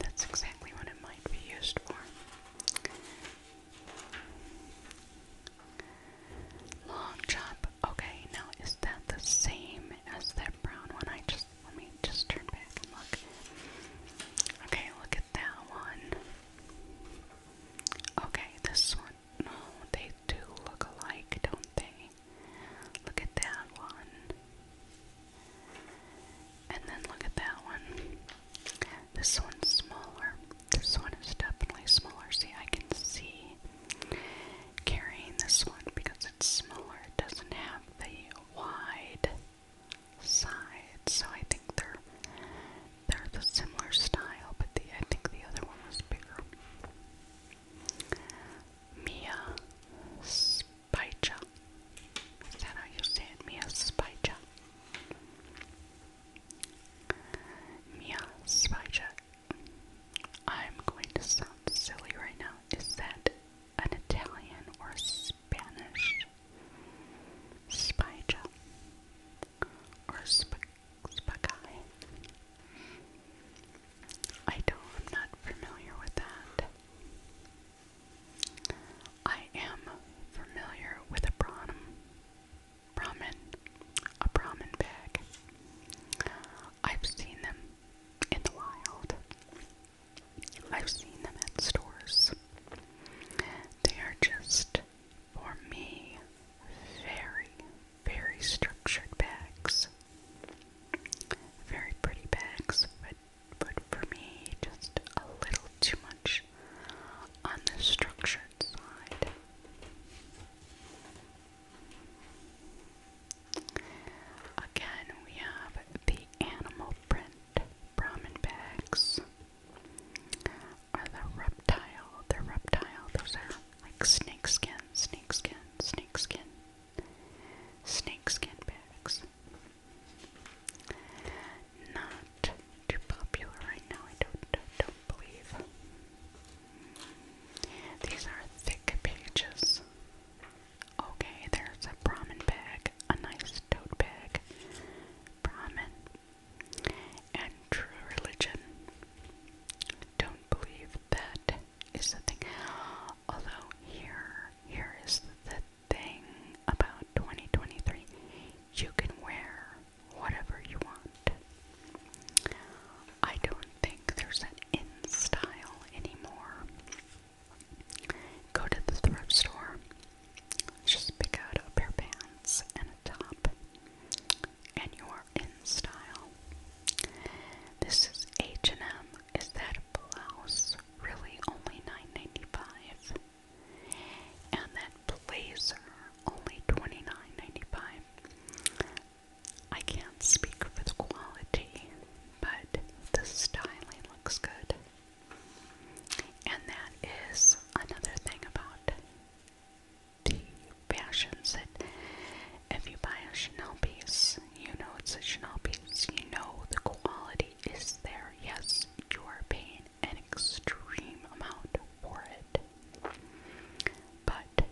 That's exactly what it might be used for. Long chop. Okay, now is that the same as that brown one I just let me just turn back and look. Okay, look at that one. Okay, this one. No, they do look alike, don't they? Look at that one. And then look at that one. This one's smaller. This one is definitely smaller. See, I can see carrying this one because it's smaller. It doesn't have the wide sides, so I think they're they're the similar style, but the I think the other one was bigger. Mia Spica. Is that how you say it? Mia Spica. Mia Spica. I'm going to sound silly right now. Is that an Italian or Spanish Spija or spagai. I don't, I'm not familiar with that. I am familiar with a Brahmin, Brahmin, a Brahmin bag. I've seen them in the wild. I've seen them at stores. They are just, for me, very, very structured bags. Very pretty bags, but, but for me, just a little too much on the structured side. Again, we have the animal print Brahmin bags are the reptile. they reptile. Those are like snake skin, snake skin, bags. Not too popular right now. I don't do don't believe. These are thick pages. Okay, there's a Brahmin bag, a nice tote bag. Brahmin. And true religion. Don't believe that is the thing. Although here, here is the thing about 2023. You can wear whatever you want. I don't think there's an in style anymore. Go to the thrift store, just pick out a pair of pants and a top, and you are in style. This is H&M. Is that a blouse? Really, only nine ninety five? And that blazer, only twenty nine ninety five? I can't speak for the quality, but the styling looks good. And that is another thing about the fashions that if you buy a Chanel piece, you know it's a Chanel piece. You know the quality is there. Yes, you are paying an extreme amount for it. But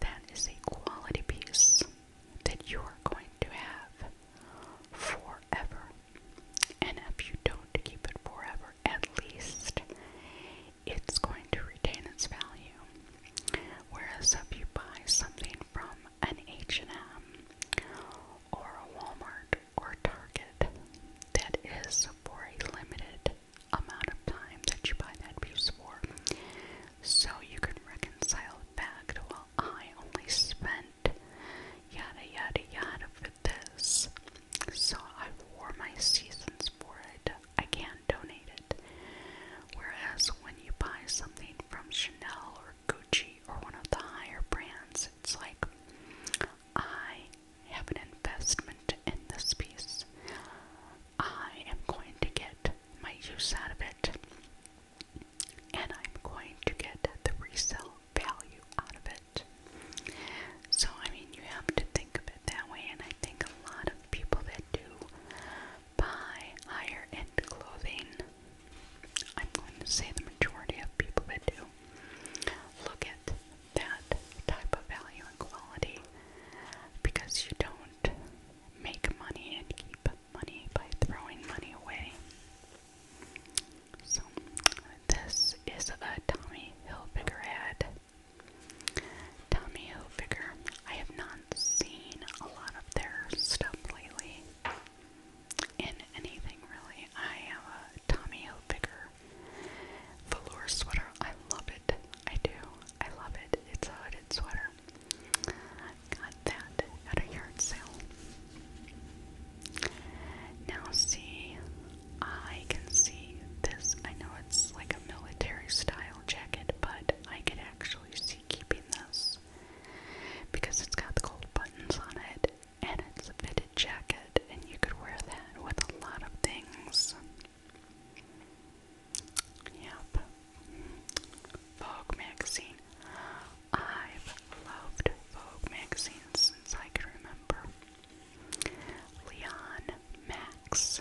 that is a quality piece that you are going to have forever. And if you don't keep it forever, at least it's going to retain its value. Whereas if you buy something from an H&M or a Walmart or a Target that is for a limited amount of time that you buy that piece for, so you can reconcile back to, well, I only spent yada yada yada for this. So I wore my seasons for it. I can't donate it. Whereas when you buy something from Chanel or Gucci or one of the higher brands, it's like I have an investment in this piece. I am going to get my use out of it. And I'm going to get the resale value out of it. So, I mean, you have to think of it that way, and I think a lot of people that do buy higher end clothing, I'm going to say the majority of people that do, look at that type of value and quality because you don't make money and keep money by throwing money away. So this is a Tommy Hilfiger ad. Tommy Hilfiger. I have not seen a lot of their stuff lately. In anything really. I have a Tommy Hilfiger velour sweater. I love it. I do. I love it. It's a hooded sweater. Got that at a yard sale. Now, see, I can see this. I know it's like a military style jacket, but I could actually see keeping this because it's got the gold buttons on it and it's a fitted jacket, and you could wear that with a lot of things. Yep. Vogue magazine. I've loved Vogue magazine since I can remember. Leon Max.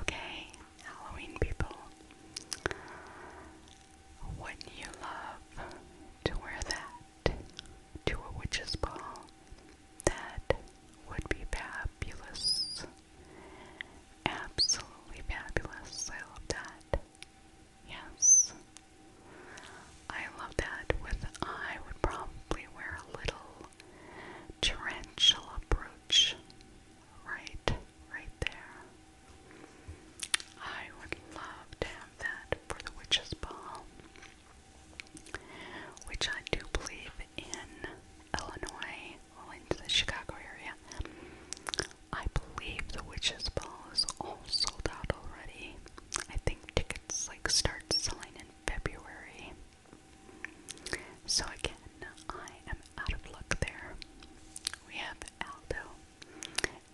Okay, Halloween people. would you love to wear that to a witch's ball? That would be fabulous. Absolutely fabulous. I love that. Yes. I love that. With I would probably wear a little tarantula brooch right, right there. I would love to have that for the witch's ball, which I do believe in Illinois, well, into the Chicago area. I believe the Witch's Ball is all sold out already. I think tickets like start selling in February. So again, I am out of luck there. We have Aldo.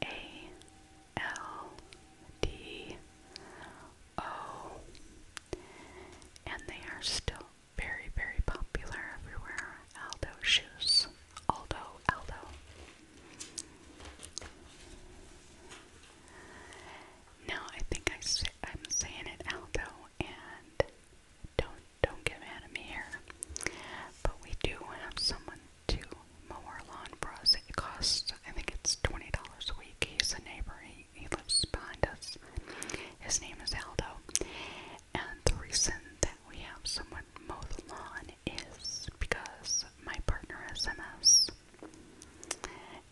A L D O. And they are still very, very popular everywhere. Aldo shoes. Aldo, Aldo. Now I think I am saying it Aldo, and don't don't get mad at me here. But we do have someone to mow our lawn for us. It costs, I think it's twenty dollars a week. He's a neighbor. He he lives behind us. His name is Aldo, and the reason that we have someone mow the lawn is because my partner has MS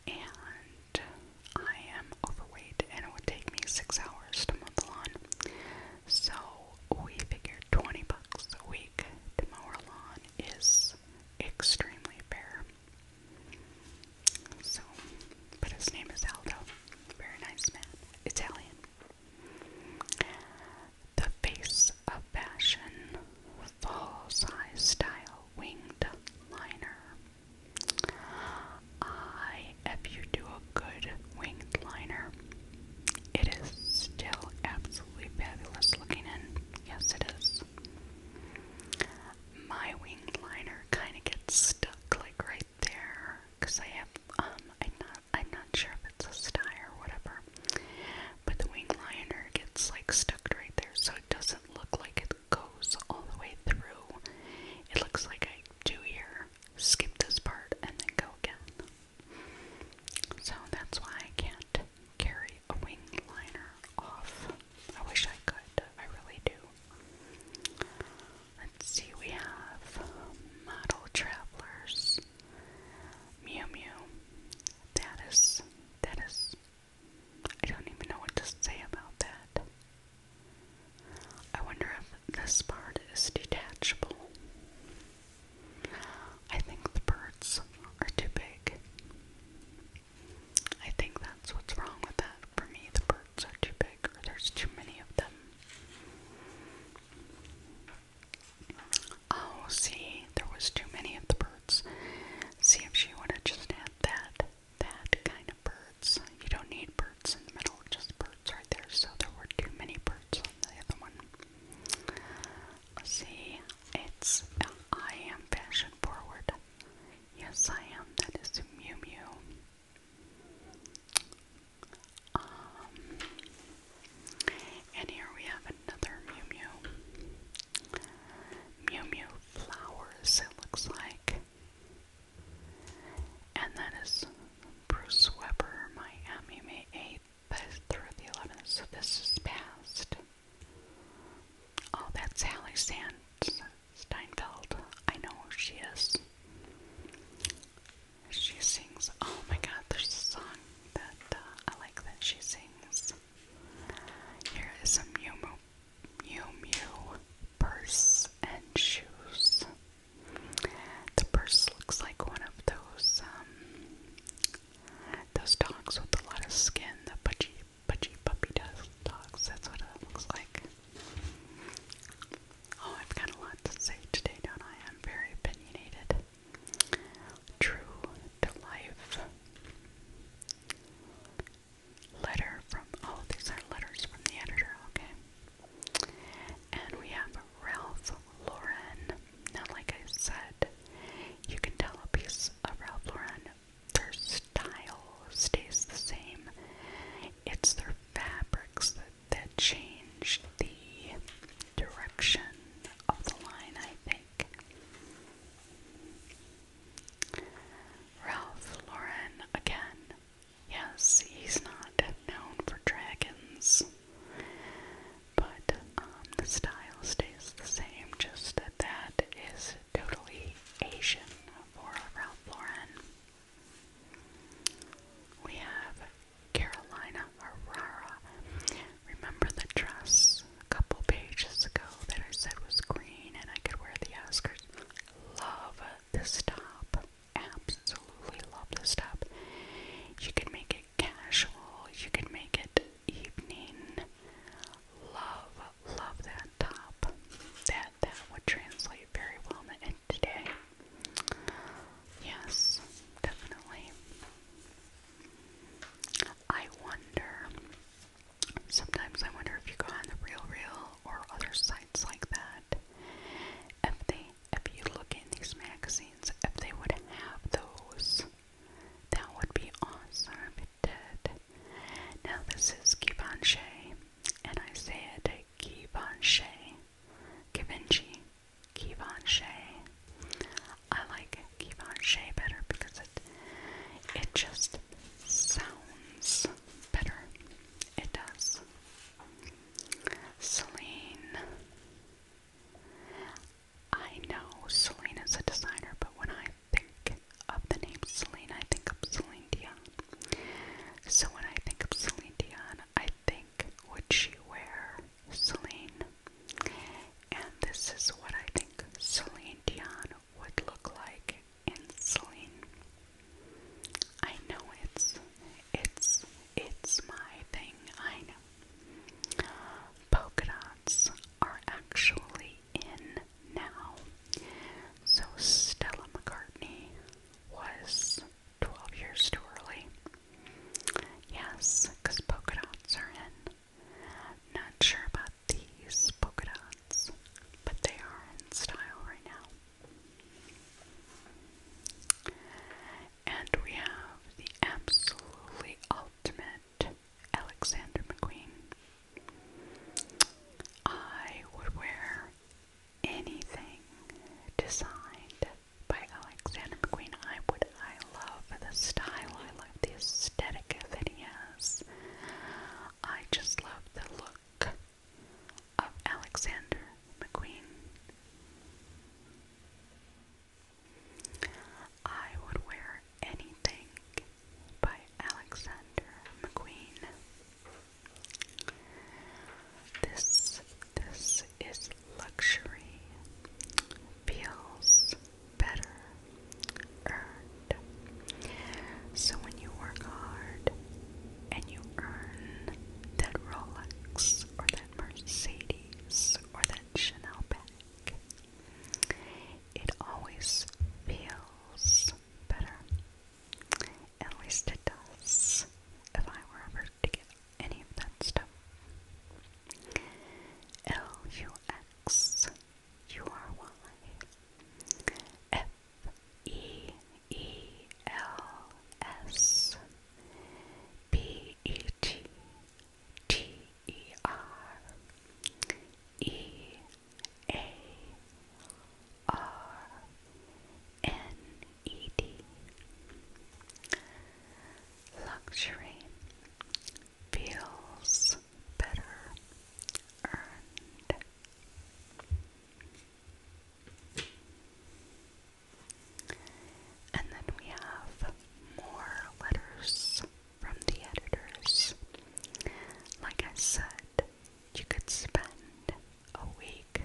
and I am overweight and it would take me six hours to mow the lawn. So we figured 20 bucks a week to mow our lawn is extremely fair. So, but his name is Aldo. Very nice man. Italian. The face of fashion, full size style winged liner. I, if you do a good winged liner, it is still absolutely fabulous looking in. Yes, it is. My winged liner kind of gets stuck like right there because I have, um, I'm not I'm not sure if it's a sty or whatever. But the wing liner gets like stuck right there, so it doesn't look like it goes all the way through. It looks like I do here, skip this part, and then go again. So that's why I can't carry a wing liner off. I wish I could, I really do. Let's see, we have Model Travelers, Mew Mew, that is, that is, I don't even know what to say about that. I wonder if this part is detachable. I think the birds are too big. I think that's what's wrong with that. For me, the birds are too big, or there's too many of them. Oh, see, there was too many of the birds. See if she would have just had that, that kind of birds. You don't need birds in the middle, just birds right there. So there were too many birds on the other one. Let's see, it's uh, I am fashion forward. Yes, I am. That is Mew Mew. Um, and here we have another Mew Mew. Mew Mew flowers, it looks like. And that is Bruce Weber, Miami, May 8th through the 11th. So this is past. Oh, that's Hallie Sands Steinfeld. I know who she is. She sings, oh my god, there's a song but uh, I like that she sings. Here is some Mew Mew, Mew purse and shoes. The purse looks like one of those um, those dogs with a lot of skin, the pudgy pudgy puppy dogs. That's what it looks like. Oh, I've got a lot to say today, don't I? I'm very opinionated. True to Life. Letter from, oh, these are letters from the editor, okay. And we have Ralph Lauren. Now, like I said, you can tell a piece of Ralph Lauren, their style stays the same. It's their fabrics that, that change the direction of the line, I Ralph Lauren again. Yes, he's not known for dragons, but um, the style stays the same, just that that is totally Asian for Ralph Lauren. We have Carolina Herrera. Remember the dress a couple pages ago that I said was green and I could wear the Oscars? Love this top. Absolutely love this top. You can make it casual, you can make it evening. Love, love that top. That that would translate very well in today. Yes, definitely. I wonder, sometimes I wonder if you go on the Real Real or other sites like that, if they, if you look in these magazines, if they would have those, that would be awesome if it did. Now this is Givenchy, and I say it Givenchy, Givenchy, Kevon Shea. I like Kevon Shea better because it it just sounds better. It does. Celine. I know Celine is a designer, but when I think of the name Celine, I think of Celine Dion. So when I think of Celine Dion, I think would she wear Celine? And this is what I think Celine Dion would look like in Celine. I know it's it's it's my thing, I know. Polka dots are actually in now. So Stella McCartney was 12 years too early. Yes, because polka dots are in. Not sure about these polka dots, but they are in style right now. And we have the absolutely ultimate Alexander McQueen. I would wear anything designed by Alexander McQueen. I would I love the style. I love the aesthetic of it. Yes, I just love the look of Alexander McQueen. I would wear anything by Alexander McQueen. This this is luxury. Feels better earned. So when you work hard and you earn that Rolex or that Mercedes or that Chanel bag, it always feels better. At least it does. If I were ever to get any of that stuff. L U X U R Y F E E L S B E T T E R E A R N E D Luxury feels better earned. And then we have more letters from the editors. Like I said, you could spend a week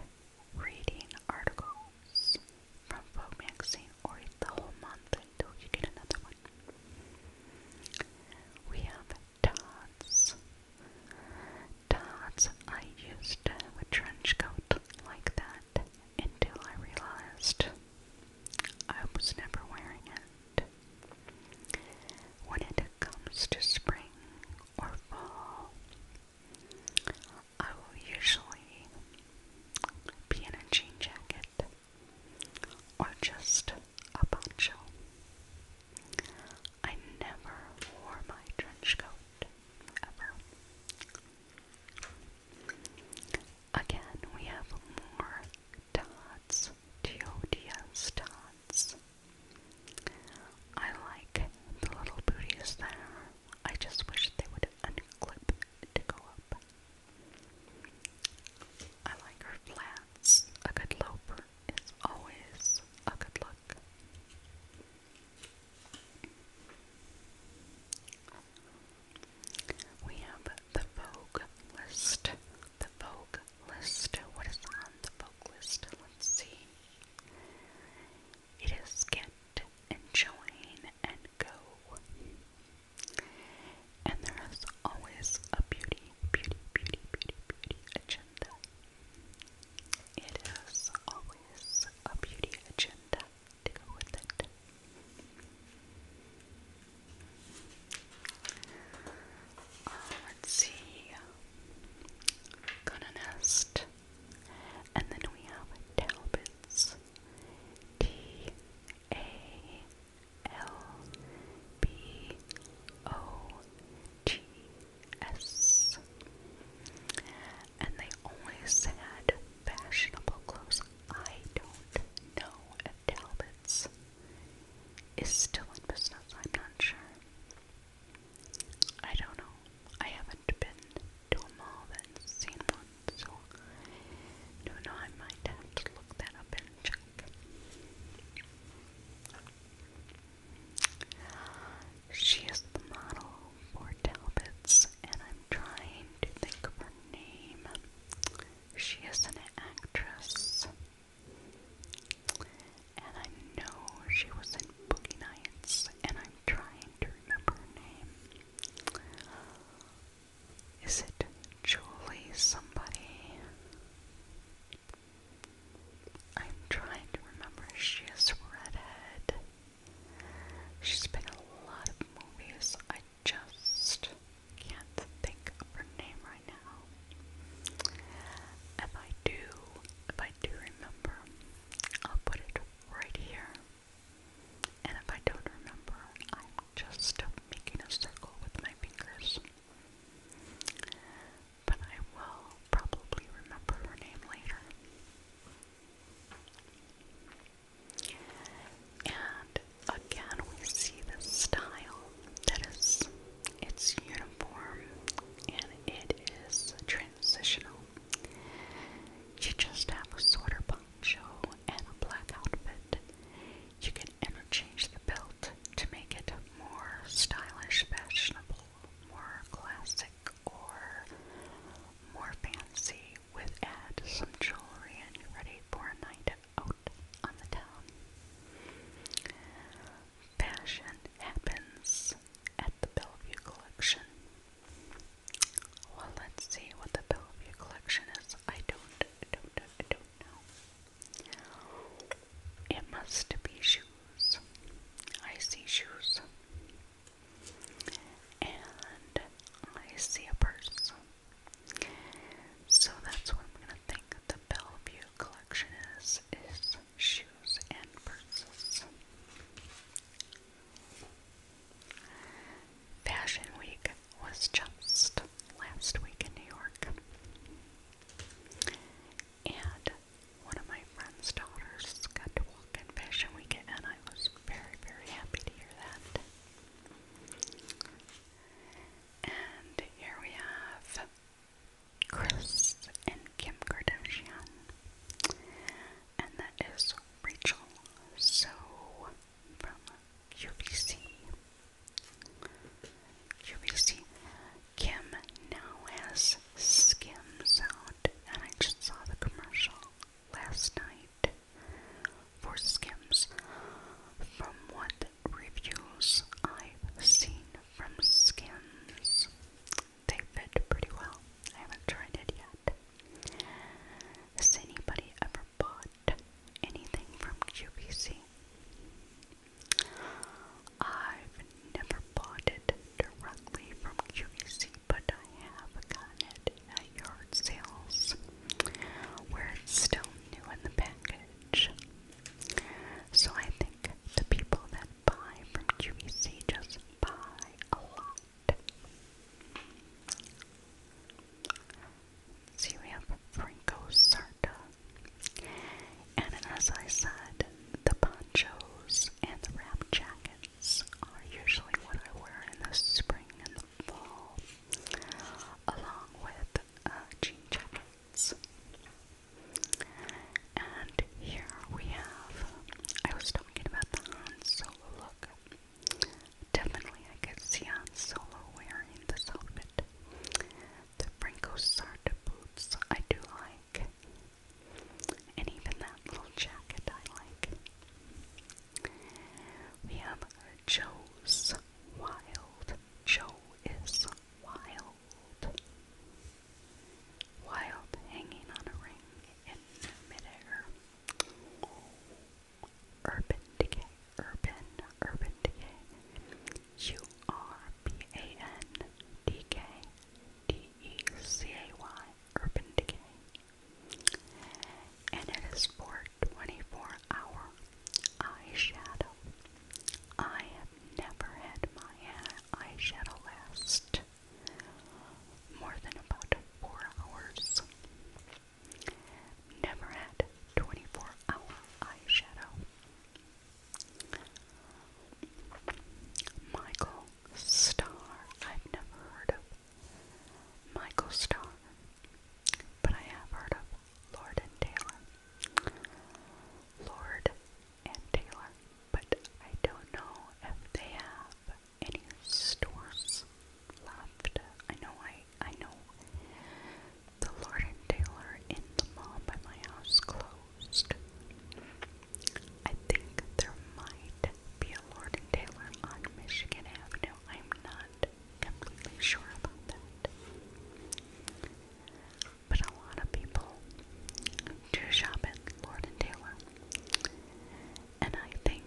reading articles from Vogue magazine or eat the whole month until you get another one. We have Dots. Dots, I used a trench coat like that until I realized I was never wearing it. When it comes to spring or fall, I will usually be in a jean jacket or just a poncho. I never wore my trench coat ever. Again, we have more dots, Teodia's dots. I like the little booties there. I just wish they would unclip to go up. I like her flats. A good loper is always a good look. We have the Vogue list. The Vogue list. What is on the Vogue list? Let's see. It is get and join and go. And there is always a beauty, beauty, beauty, beauty, beauty agenda. It is always a beauty agenda to go with it. Uh, let's see. Gonna nest. And then we have Talbots. T A L B O G S. And they always had fashionable clothes. I don't know if Talbot's is still in business, I'm not sure. I don't know. I haven't been to a mall and seen one. So, I do I might have to look that up and check. She is the model for Talbot's, and I'm trying to think of her name. She is an actress, and I know she was in Boogie Nights, and I'm trying to remember her name. Is it Julie somebody? I'm trying to remember. She is redhead. She's been in a lot of movies. I just can't think of her name right now. If I do, if I do remember, I'll put it right here and if I don't remember, I'm just making a circle with my fingers. But I will probably remember her name later. And again, we see this style that is, it's uniform and it is transitional. You just have a sort poncho and a black outfit. You can interchange the belt to make it more stylish, fashionable, more classic, or more fancy. With add some jewelry and you're ready for a night out on the town. Passion happens at the Bellevue Collection. Well, let's see what the Bellevue Collection is. I don't don't, I don't know. It must be shoes. I see shoes. And I see a purse. So that's what I'm gonna think the Bellevue collection is is shoes and purses. Fashion Week was just last week in New York. And one of my friend's daughters got to walk in Fashion Week, and I was very, very happy to hear that. And here we have Chris and Kim Kardashian. And that is Rachel. So from QVC. QVC. Kim now has Skims out, and I just saw the commercial last night for Skims. From what reviews I've seen from Skims, they fit pretty well. I haven't tried it yet. Has anybody ever ever anything from QVC. I've never bought it directly from QVC, but I have gotten it at yard sales where it's still new in the package. So I think the people that buy from QVC just buy a lot. So you have Franco Sarta. And as I said, the ponchos and the wrap jackets are usually what I wear in the spring and the fall, along with uh, jean jackets. And here we have, I was talking about the Han look Definitely, I could see Han Solo wearing this outfit. The Franco Sarda boots I do like, and even that little jacket I like. We have Joe's Wild. Joe is wild. Wild hanging on a ring in midair. Urban Decay, Urban, Urban Decay, U R B A N D K D E C A Y, Urban Decay, and it is for 24 hour eyeshadow. I have never had my eyeshadow last more than about four hours. Never had 24 hour eyeshadow. Michael Starr. I've never heard of Michael Starr, but I have heard of Lord and Taylor. Lord and Taylor, but I don't know if they have any stores left. I know I I know. The Lord and Taylor in the mall by my house closed. I think there might be a Lord and Taylor on Michigan Avenue. I'm not completely sure about that. But a lot of people do shop at Lord and Taylor. And I think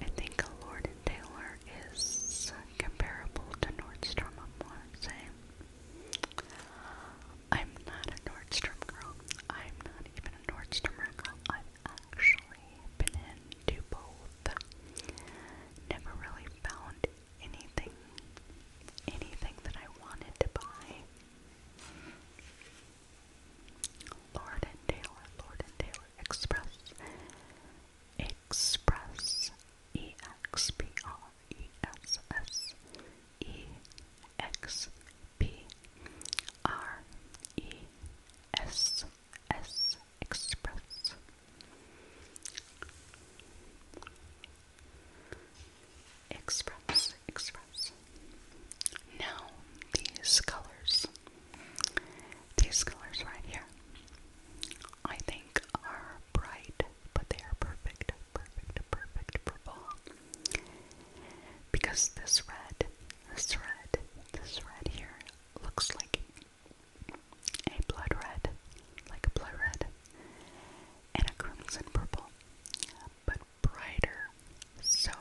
I think a Lord and Taylor is comparable to Nordstrom, I want to say. I'm not a Nordstrom girl. I'm not even a Nordstrom girl. I've actually been into both. Never really found anything, anything that I wanted to buy. Lord and Taylor, Lord and Taylor Express. Express, E X P R E S S, E X P R E S S, Express. Express, express. Now, these colors, these colors right here, I think are bright, but they are perfect, perfect, perfect for Because this red, this red, this red here looks like a blood red, like a blood red, and a crimson purple, but brighter. So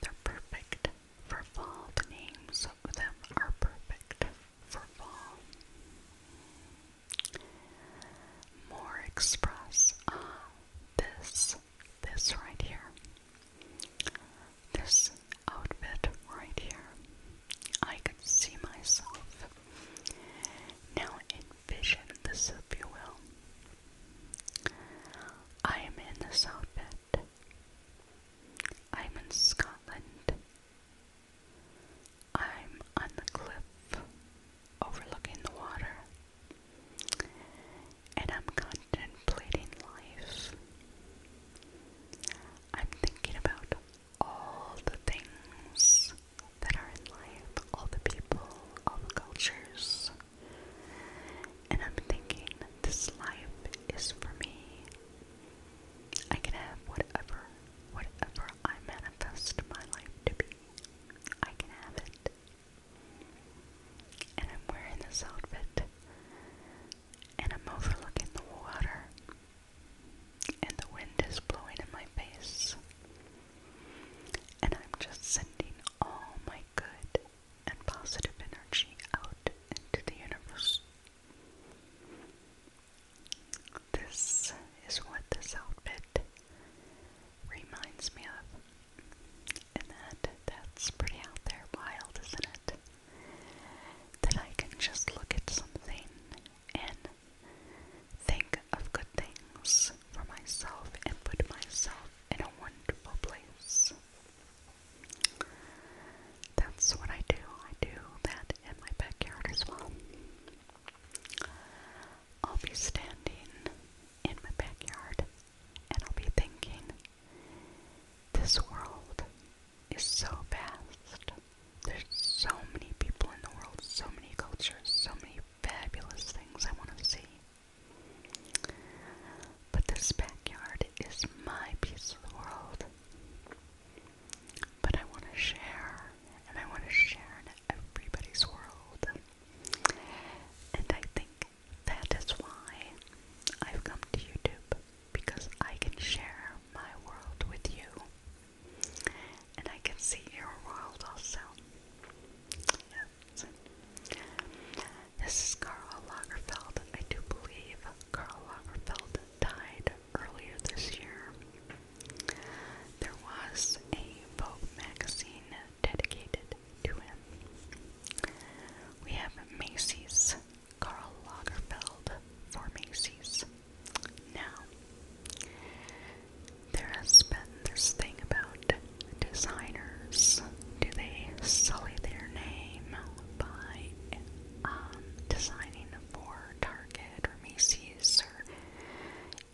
they're perfect for fall. The names of them are perfect for fall. More express. Ah, this, this right here. This outfit right here. I could see myself. Now envision this, if you will. I am in this outfit. I'm in Scotland. I'm on the cliff overlooking the water. And I'm contemplating life. I'm thinking about all the things that are in life, all the people, all the cultures. And I'm thinking this life is for me. I can have whatever, whatever I manifest my life to be. I can have it. And I'm wearing this outfit. And I'm overlooking the water. And the wind is blowing in my face. And I'm just sending all my good and positive energy out into the universe this is what this outfit reminds me of. And that that's pretty out there wild, isn't it? That I can just look at something and think of good things for myself and put myself in a wonderful place. That's what I do. I do that in my backyard as well. I'll be standing in my backyard and I'll be thinking, this world is so vast. There's so many people in the world, so many cultures, so many fabulous things I want to see. But this backyard is my piece of the world. But I want to share, and I want to share in everybody's world. And I think that is why I've come to YouTube, because I can share my world with you. And I can see your world also. This is Karl Lagerfeld. I do believe Carl Lagerfeld died earlier this year. There was a Vogue magazine dedicated to him. We have Macy's, Karl Lagerfeld for Macy's. Now, there has been this thing about designers. Do they sully their name by um, designing for Target or Macy's or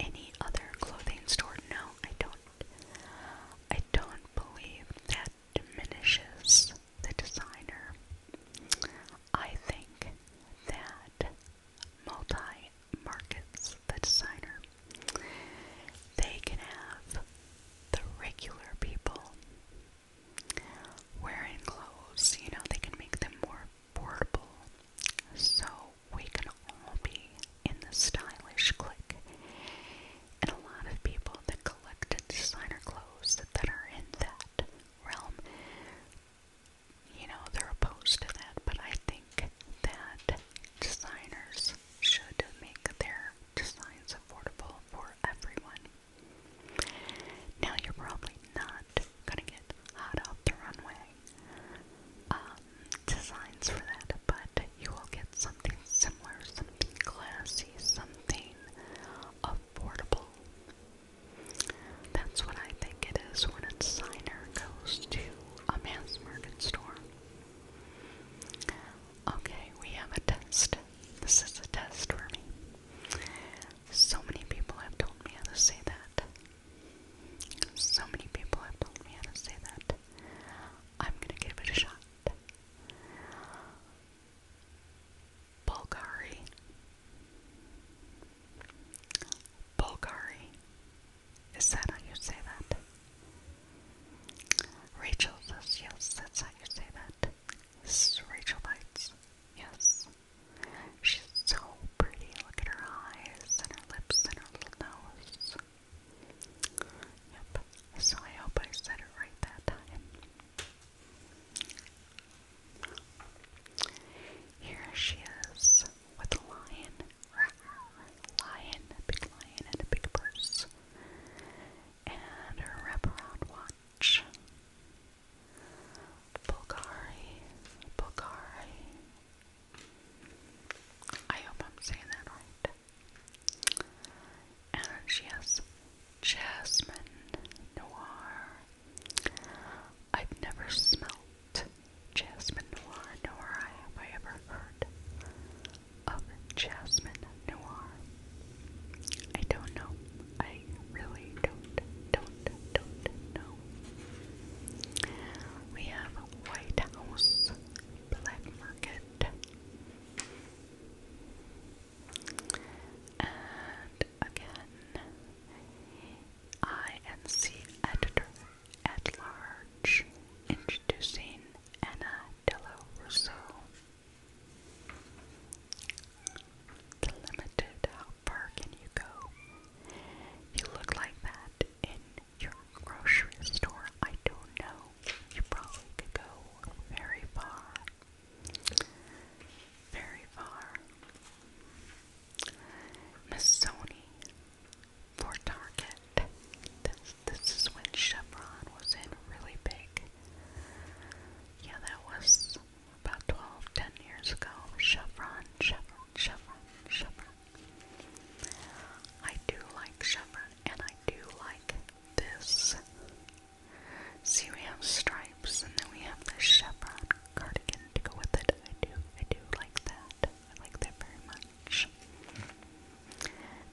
any other clothing store. No, I don't. I don't believe that diminishes the designer. I think that multi markets the designer. They can have the regular people wearing clothes, you know, they can make them more portable. So we can all be in the stylish clique. And a lot of people that collected designer clothes that, that are in that realm, you know, they're opposed to that. But I think that designers should make their designs affordable for everyone. Now you're probably not gonna get hot off the runway um, designs for that, but you will get something similar, something classy, something affordable. That's what I think it is when a designer goes to a mass market store. Okay, we have a test. This is a test for me. So many people have told me how to say that. So many people have told me how to say that. I'm gonna give it a shot. Bulgari. Bulgari. Is that how you say that? Rachel says yes, that's how you say that. This is Rachel Bites. Yes. She's so pretty. Look at her eyes and her lips and her little nose. Yep. So I hope I said it right that time. Here she is with a lion. Lion, big lion and a big purse. And her wraparound watch. Bulgari, Bulgari. I hope I'm saying that right. And she Jasmine Noir. I've never smelt Jasmine Noir, nor have I ever heard of Jasmine Noir. I don't know. I really don't, don't, don't know. We have White House Black Market. And again, INC Editor at Large introducing Anna Della Russo. It's limited. How far can you go? You look like that in your grocery store. I don't know. You probably could go very far. Very far. Miss Sony for Target. This, this is when Chevron was in really big. Yeah, that was about 12, 10 years ago. Chevron, Chevron, Chevron, Chevron. I do like Chevron, and I do like this. See, we have stripes, and then we have the Chevron cardigan to go with it. I do, I do like that. I like that very much.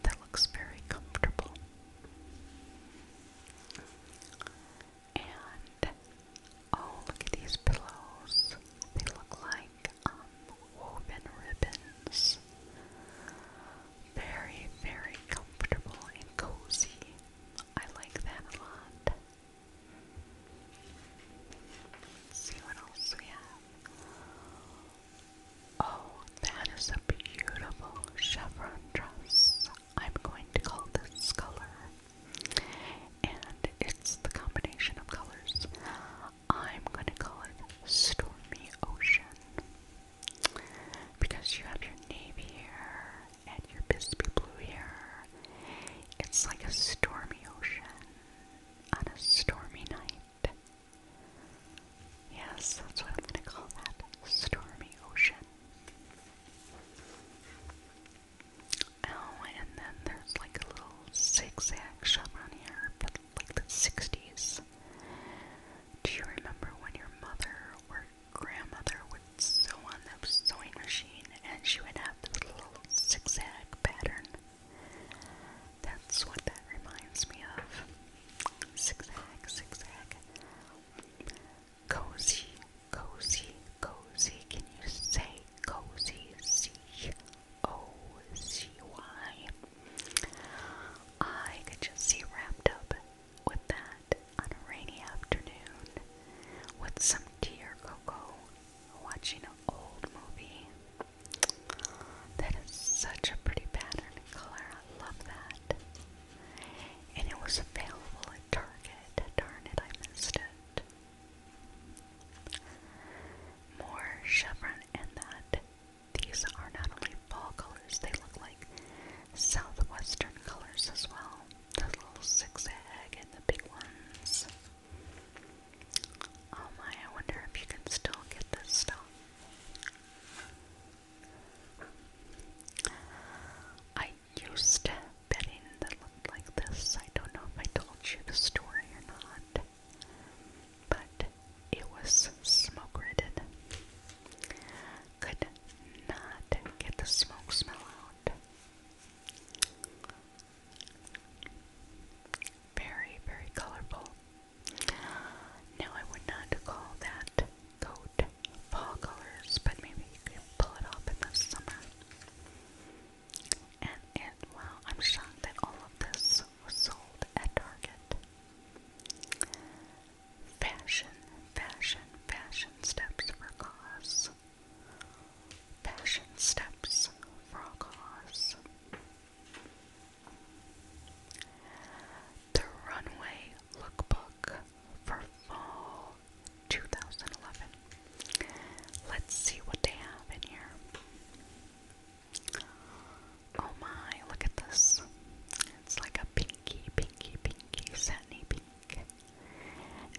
That looks very comfortable. And oh, look at these pillows. They look like um, woven ribbons. Very, very comfortable and cozy. I like that a lot. see what else we have. Oh, that is a beautiful chevron dress. I'm going to call this color, and it's the combination of colors. I'm going to call it Stormy Ocean because you have your navy here and your Bisbee blue here. It's like a stormy ocean on a stormy night. Yes, that's what I'm going to call that stormy ocean. Oh, and then there's like a little zigzag shop on here, but like the 60s. Do you remember when your mother or grandmother would sew on the sewing machine and she would have this little zigzag pattern? That's what that reminds me of. Zigzag, zigzag cozy, cozy, cozy. Can you say cozy? C O C Y. I could just see wrapped up with that on a rainy afternoon with some tea or cocoa, watching an old movie. That is such a pretty pattern and color. I love that and it was available at Target. Darn it, I missed it. More chevron and that these are not only fall colors, they look like southwestern colors as well. The little zigzag and the big ones. Oh my, I wonder if you can still get this stuff. I used to bedding that looked like this. I don't know if I told you the story or not, but it was smoke ridded. Could not get the smoke smell out. Very, very colorful. Now, I would not call that coat fall colors, but maybe you can pull it off in the summer. And it, wow, I'm shocked that all of this was sold at Target. Fashion, fashion, fashion steps for cause. Fashion steps for a The runway lookbook for fall 2011. Let's see what they have in here. Oh my, look at this. It's like a pinky, pinky, pinky, satiny pink.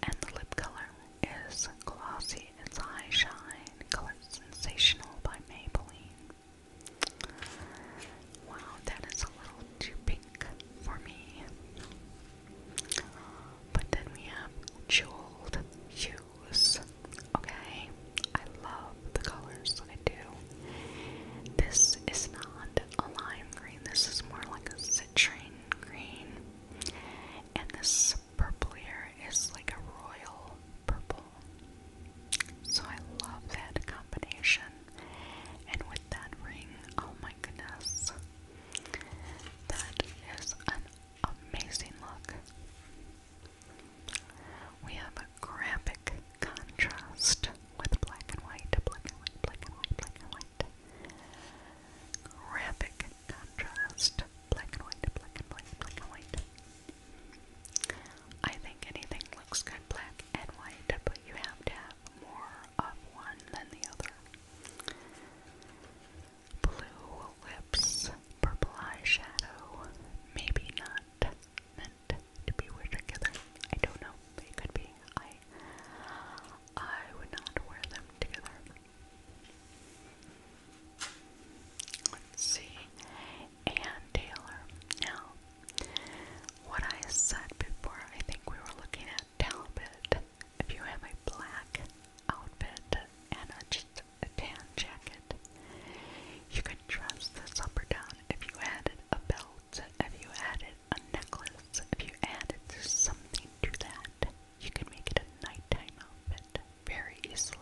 And the lip color is Glossy. It's High Shine Color Sensational by Maybelline. Wow, that is a little too pink for me. But then we have jeweled shoes. Okay, I love the colors. I do. This is not a lime green. This is more like a citrine green. And this purple here is like a royal purple. So I love that combination. And with that ring, oh my goodness, that is an amazing look. We have a graphic contrast with black and white, black and white, black and white, black and white. Graphic contrast, black and white, black and white, black and white. I think anything looks good black and white, but you have to have more of one than the other. Blue lips, purple eye shadow, maybe not meant to be wear together. I don't know. They could be. I I would not wear them together. Let's see. Ann Taylor. Now, what I said before, I think we were looking at Talbot if you have a black outfit and a, just a tan jacket, you could dress this up or down if you added a belt, if you added a necklace, if you added something to that, you could make it a night time outfit very easily.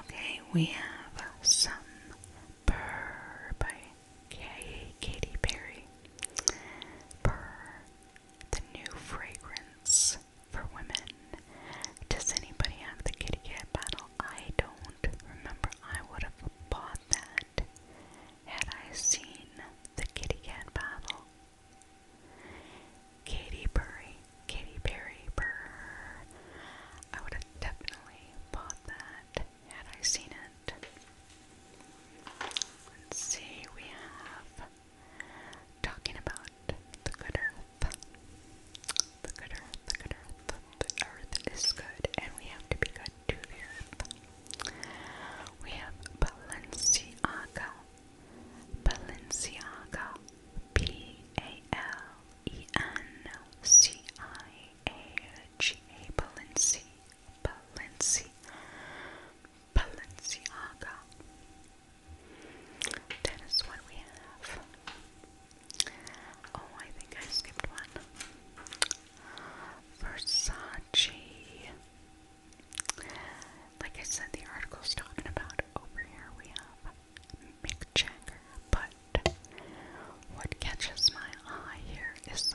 Okay, we have some Purr by Katy Perry. Purr, the new fragrance for women. Does anybody have the kitty cat bottle? I don't remember. I would have bought that had I seen the kitty cat bottle. Katy Perry, Katy Perry, Purr. I would have definitely bought that had I seen it. Let's see, we have talking about the good earth. The good earth, the good earth, the earth is good, and we have to be good to the earth. We have Balenciaga. Balenciaga. B A L E N C I A G A Balenciaga. Balenci Balenciaga. That is what we have. Oh, I think I skipped one. Versace. Like I said, the article's talking about over here we have Mick but what catches my eye here is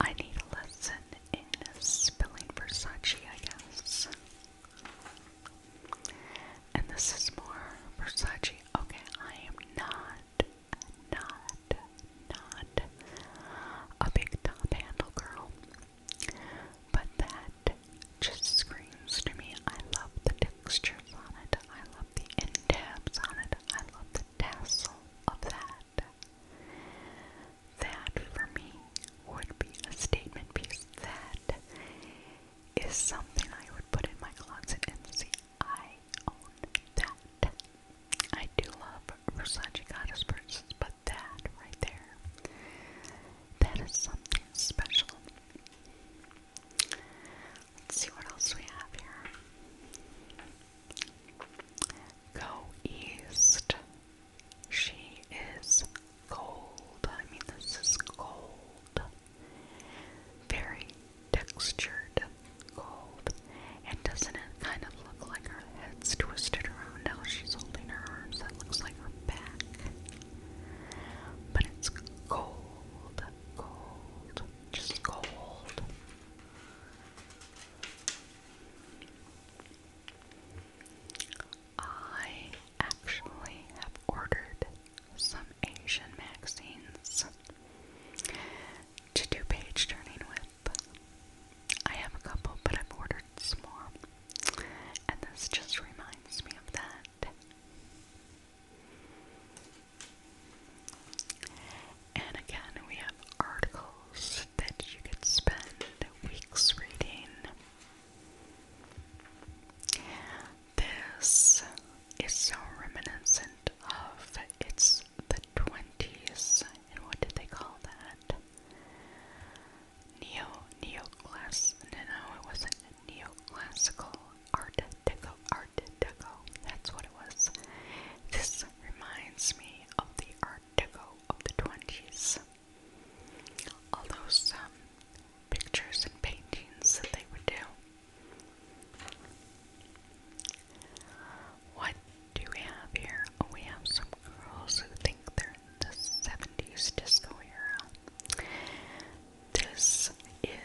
I need a lesson in spelling Versace, I guess. And this is more Versace. Okay, I am not, not, not a big top handle girl. But that just screams to me. I love the texture on it. I love the end on it. I love the tassel of that. That for me would be a statement piece. That is something I would put in my closet and see. I own that. I do love Versace goddess purses, but that right there, that is something special. Let's see what else we have here. Go east. She is gold. I mean, this is gold. Very textured gold. And doesn't it kind of look like her head's twisted around now? She's holding her arms. That looks like her back. But it's gold. Gold. Just gold. I actually have ordered some Asian magazines to do page turning with. I have a couple, but I've ordered some more. And this just reminds me of that. And again, we have articles that you could spend weeks reading. This is so reminiscent of it's the 20s, and what did they call that? Neo, neoclass, no, no, it wasn't neoclassical, art deco, that's what it was. This reminds me of the Art Deco of the 20s. Although some um, pictures and paintings that they would do. What do we have here? Oh, we have some girls who think they're the 70s disco era. This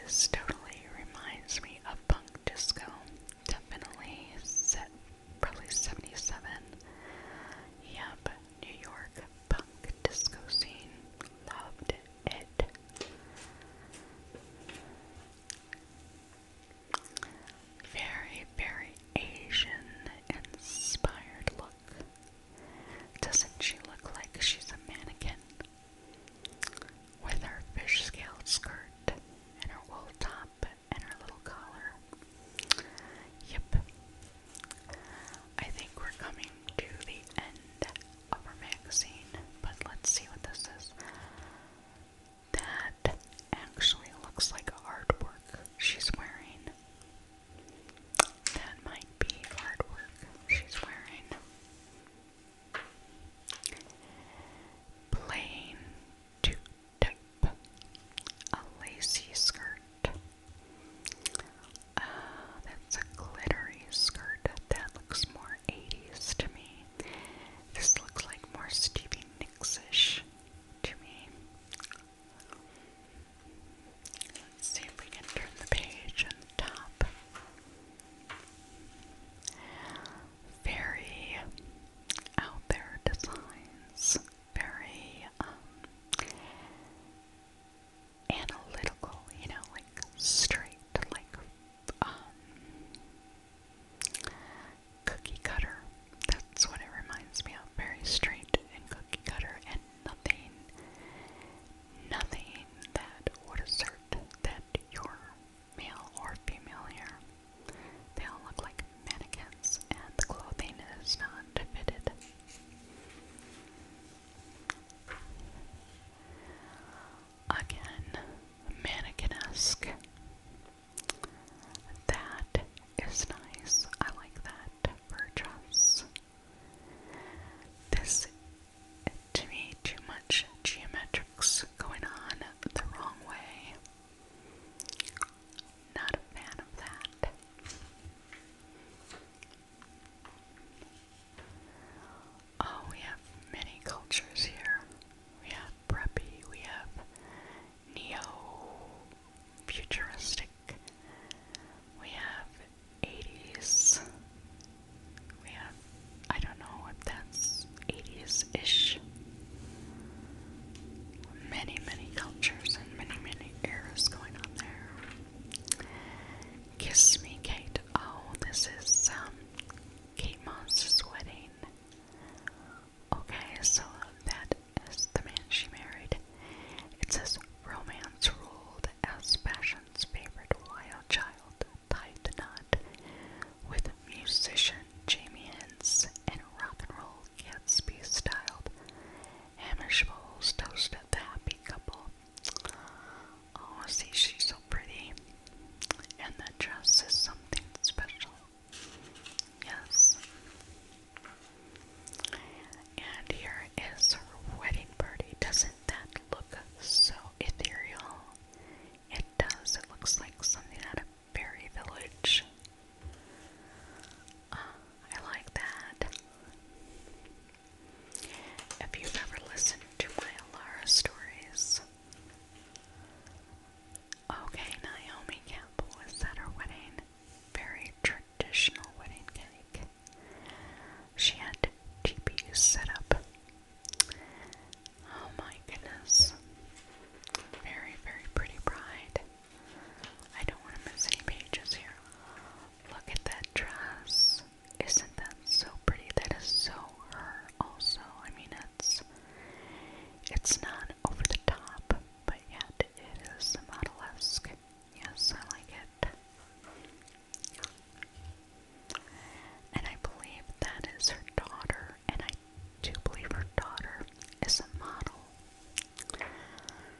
is totally reminds me of punk disco. Definitely set probably 77. Yeah, but New York punk disco scene. Loved it. Very, very Asian inspired look. Doesn't she look like she's a mannequin? with her fish scale skirt and her wool top and her little collar. Yep. I think we're coming to the end of our magazine, but let's see what this is. That actually looks like artwork she's wearing. That might be artwork she's wearing. Plain to a lacy skirt. Uh, that's a glittery skirt. That looks more 80s to me. This looks like more Stevie Nicks ish to me. Let's see if we can turn the page on the top very out there designs, very um, analytical, you know, like straight, like um, cookie cutter. That's what it reminds me of. Very straight and cookie cutter, and nothing, nothing that would assert that you're male or female here. They all look like mannequins, and the clothing is not fitted. Again, mannequin-esque. That is nice. I like that for dress. This, to me, too much geometrics going on the wrong way. Not a fan of that. Oh, we have many cultures here. We have preppy, we have neo futuristic, we have 80s, we have I don't know if that's 80s ish. Many, many cultures and many, many eras going on there. Kiss Me Kate. Oh, this is um, Kate Moss's wedding. Okay, so that is the man she married. It says romance ruled as fashion's favorite wild child tight knot with musician Jamie Hens and rock and roll Gatsby styled Hamish bowls toasted the happy couple. Oh, see, she's so pretty, and the dress is something special. Yes. And here is her wedding party. Doesn't that look so ethereal? It does. It looks like something out of Berry Village. Uh, I like that. If you ever listened to my Alara stories, okay, Naomi Campbell was at her wedding. Very traditional wedding cake. She had teepees set up. Oh my goodness. Very, very pretty bride. I don't want to miss any pages here. Look at that dress. Isn't that so pretty? That is so her also. I mean it's it's not over the top, but yet it is model-esque. Yes, I like it. And I believe that is her daughter, and I to believe her daughter is a model.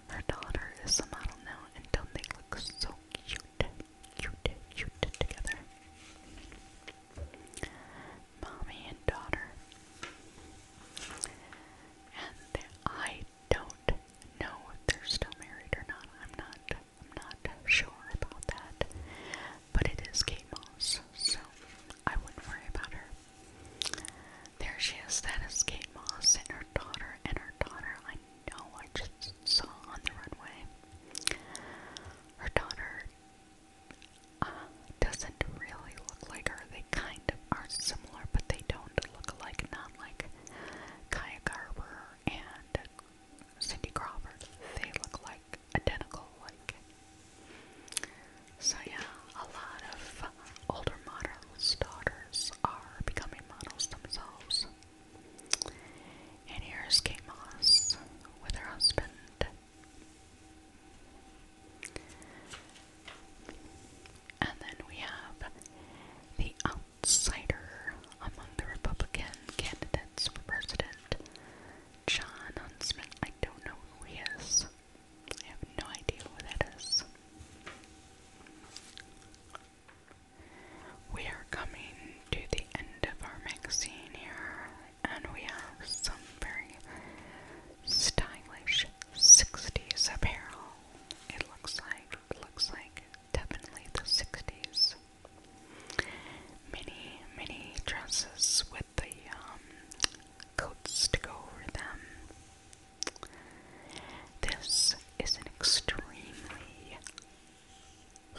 Her daughter is a model now, and don't they look so cute, cute, cute together? Mommy and daughter. And I don't know if they're still married or not. I'm not. I'm not sure about that but it is Kate Moss, so I wouldn't worry about her. There she is, that is Kate Moss and her daughter, and her daughter I know I just saw on the runway. Her daughter uh, doesn't really look like her. They kind of are similar, but they don't look alike, not like Kaya Garber and Cindy Crawford. They look like identical like. So yeah, a lot of older models' daughters are becoming models themselves. And here's Kate Moss with her husband. And then we have the outsider among the Republican candidates for president, John Huntsman. I don't know who he is. I have no idea who that is. We are coming to the end of our magazine here, and we have some very stylish 60s apparel. It looks like, looks like definitely the 60s. Many, many dresses with the um, coats to go over them. This is an extremely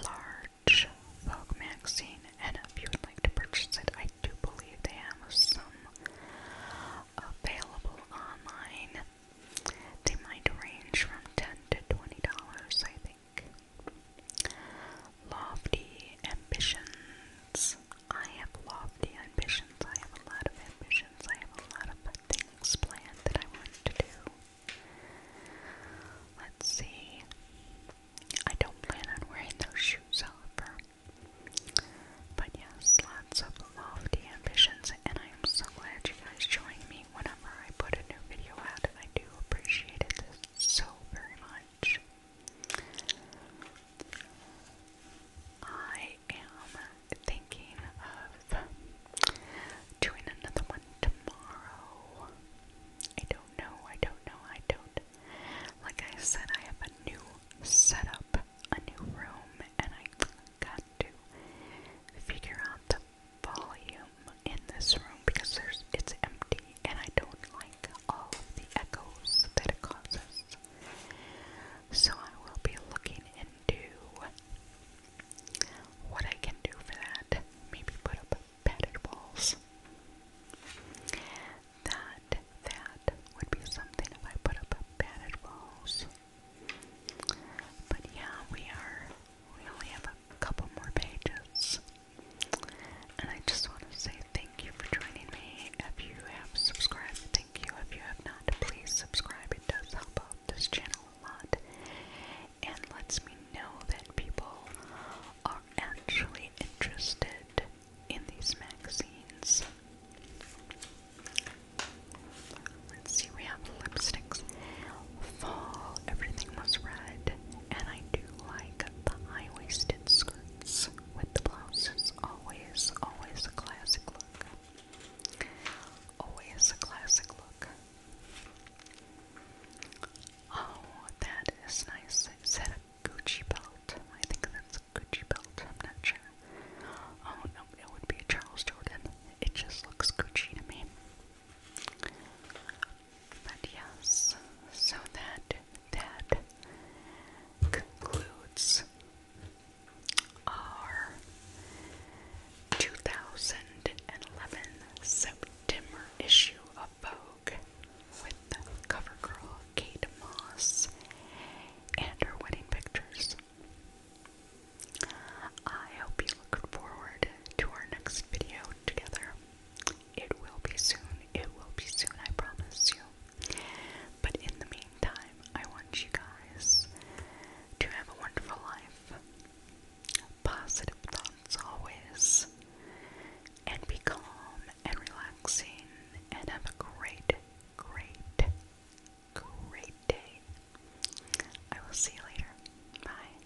large Vogue magazine, and if you would like to purchase it, I do believe they have some available online. They might range from ten to twenty dollars, I think. Lofty ambitions. I have lofty ambitions. I have a lot of ambitions. I have a lot of things planned that I want to do. Let's see. I don't plan on wearing those shoes, however. But yes, lots of lofty ambitions, and I am so glad you guys join me whenever I put a new video out. I do appreciate it so very much. I am thinking of doing another one tomorrow. I don't know, I don't know, I don't. Like I said, I have a new setup, a new room, and I got to figure out the volume in this room because there's it's empty and I don't like all the echoes that it causes. So I will be looking into what I can do for that. Maybe put up padded walls. That that would be something if I put up padded walls. But yeah, we are we only have a couple more pages. And I just want to say thank you for joining me. If you have subscribed, thank you. If you have not, please subscribe. It does help out this channel a lot and lets me know that people are actually interested in these magazines. Let's see, we have lipsticks. Fall, everything was red, and I do like the high waisted skirts with the blouses. Always, always a classic look. Always a classic look. Oh, that is nice. Is a Gucci belt? I think that's a Gucci belt. I'm not sure. Oh, no, it would be a Charles Jordan. It just looks Gucci to me. But yes, so that that concludes our 2011 September issue of Vogue with CoverGirl Kate Moss and her wedding pictures. I hope you look forward to our next video together. It will be soon. It will be soon, I promise you. But in the meantime, I want you guys to have a wonderful life. Positive thoughts always. And be calm and relaxing. And have a great, great, great day. I will see you later. Bye.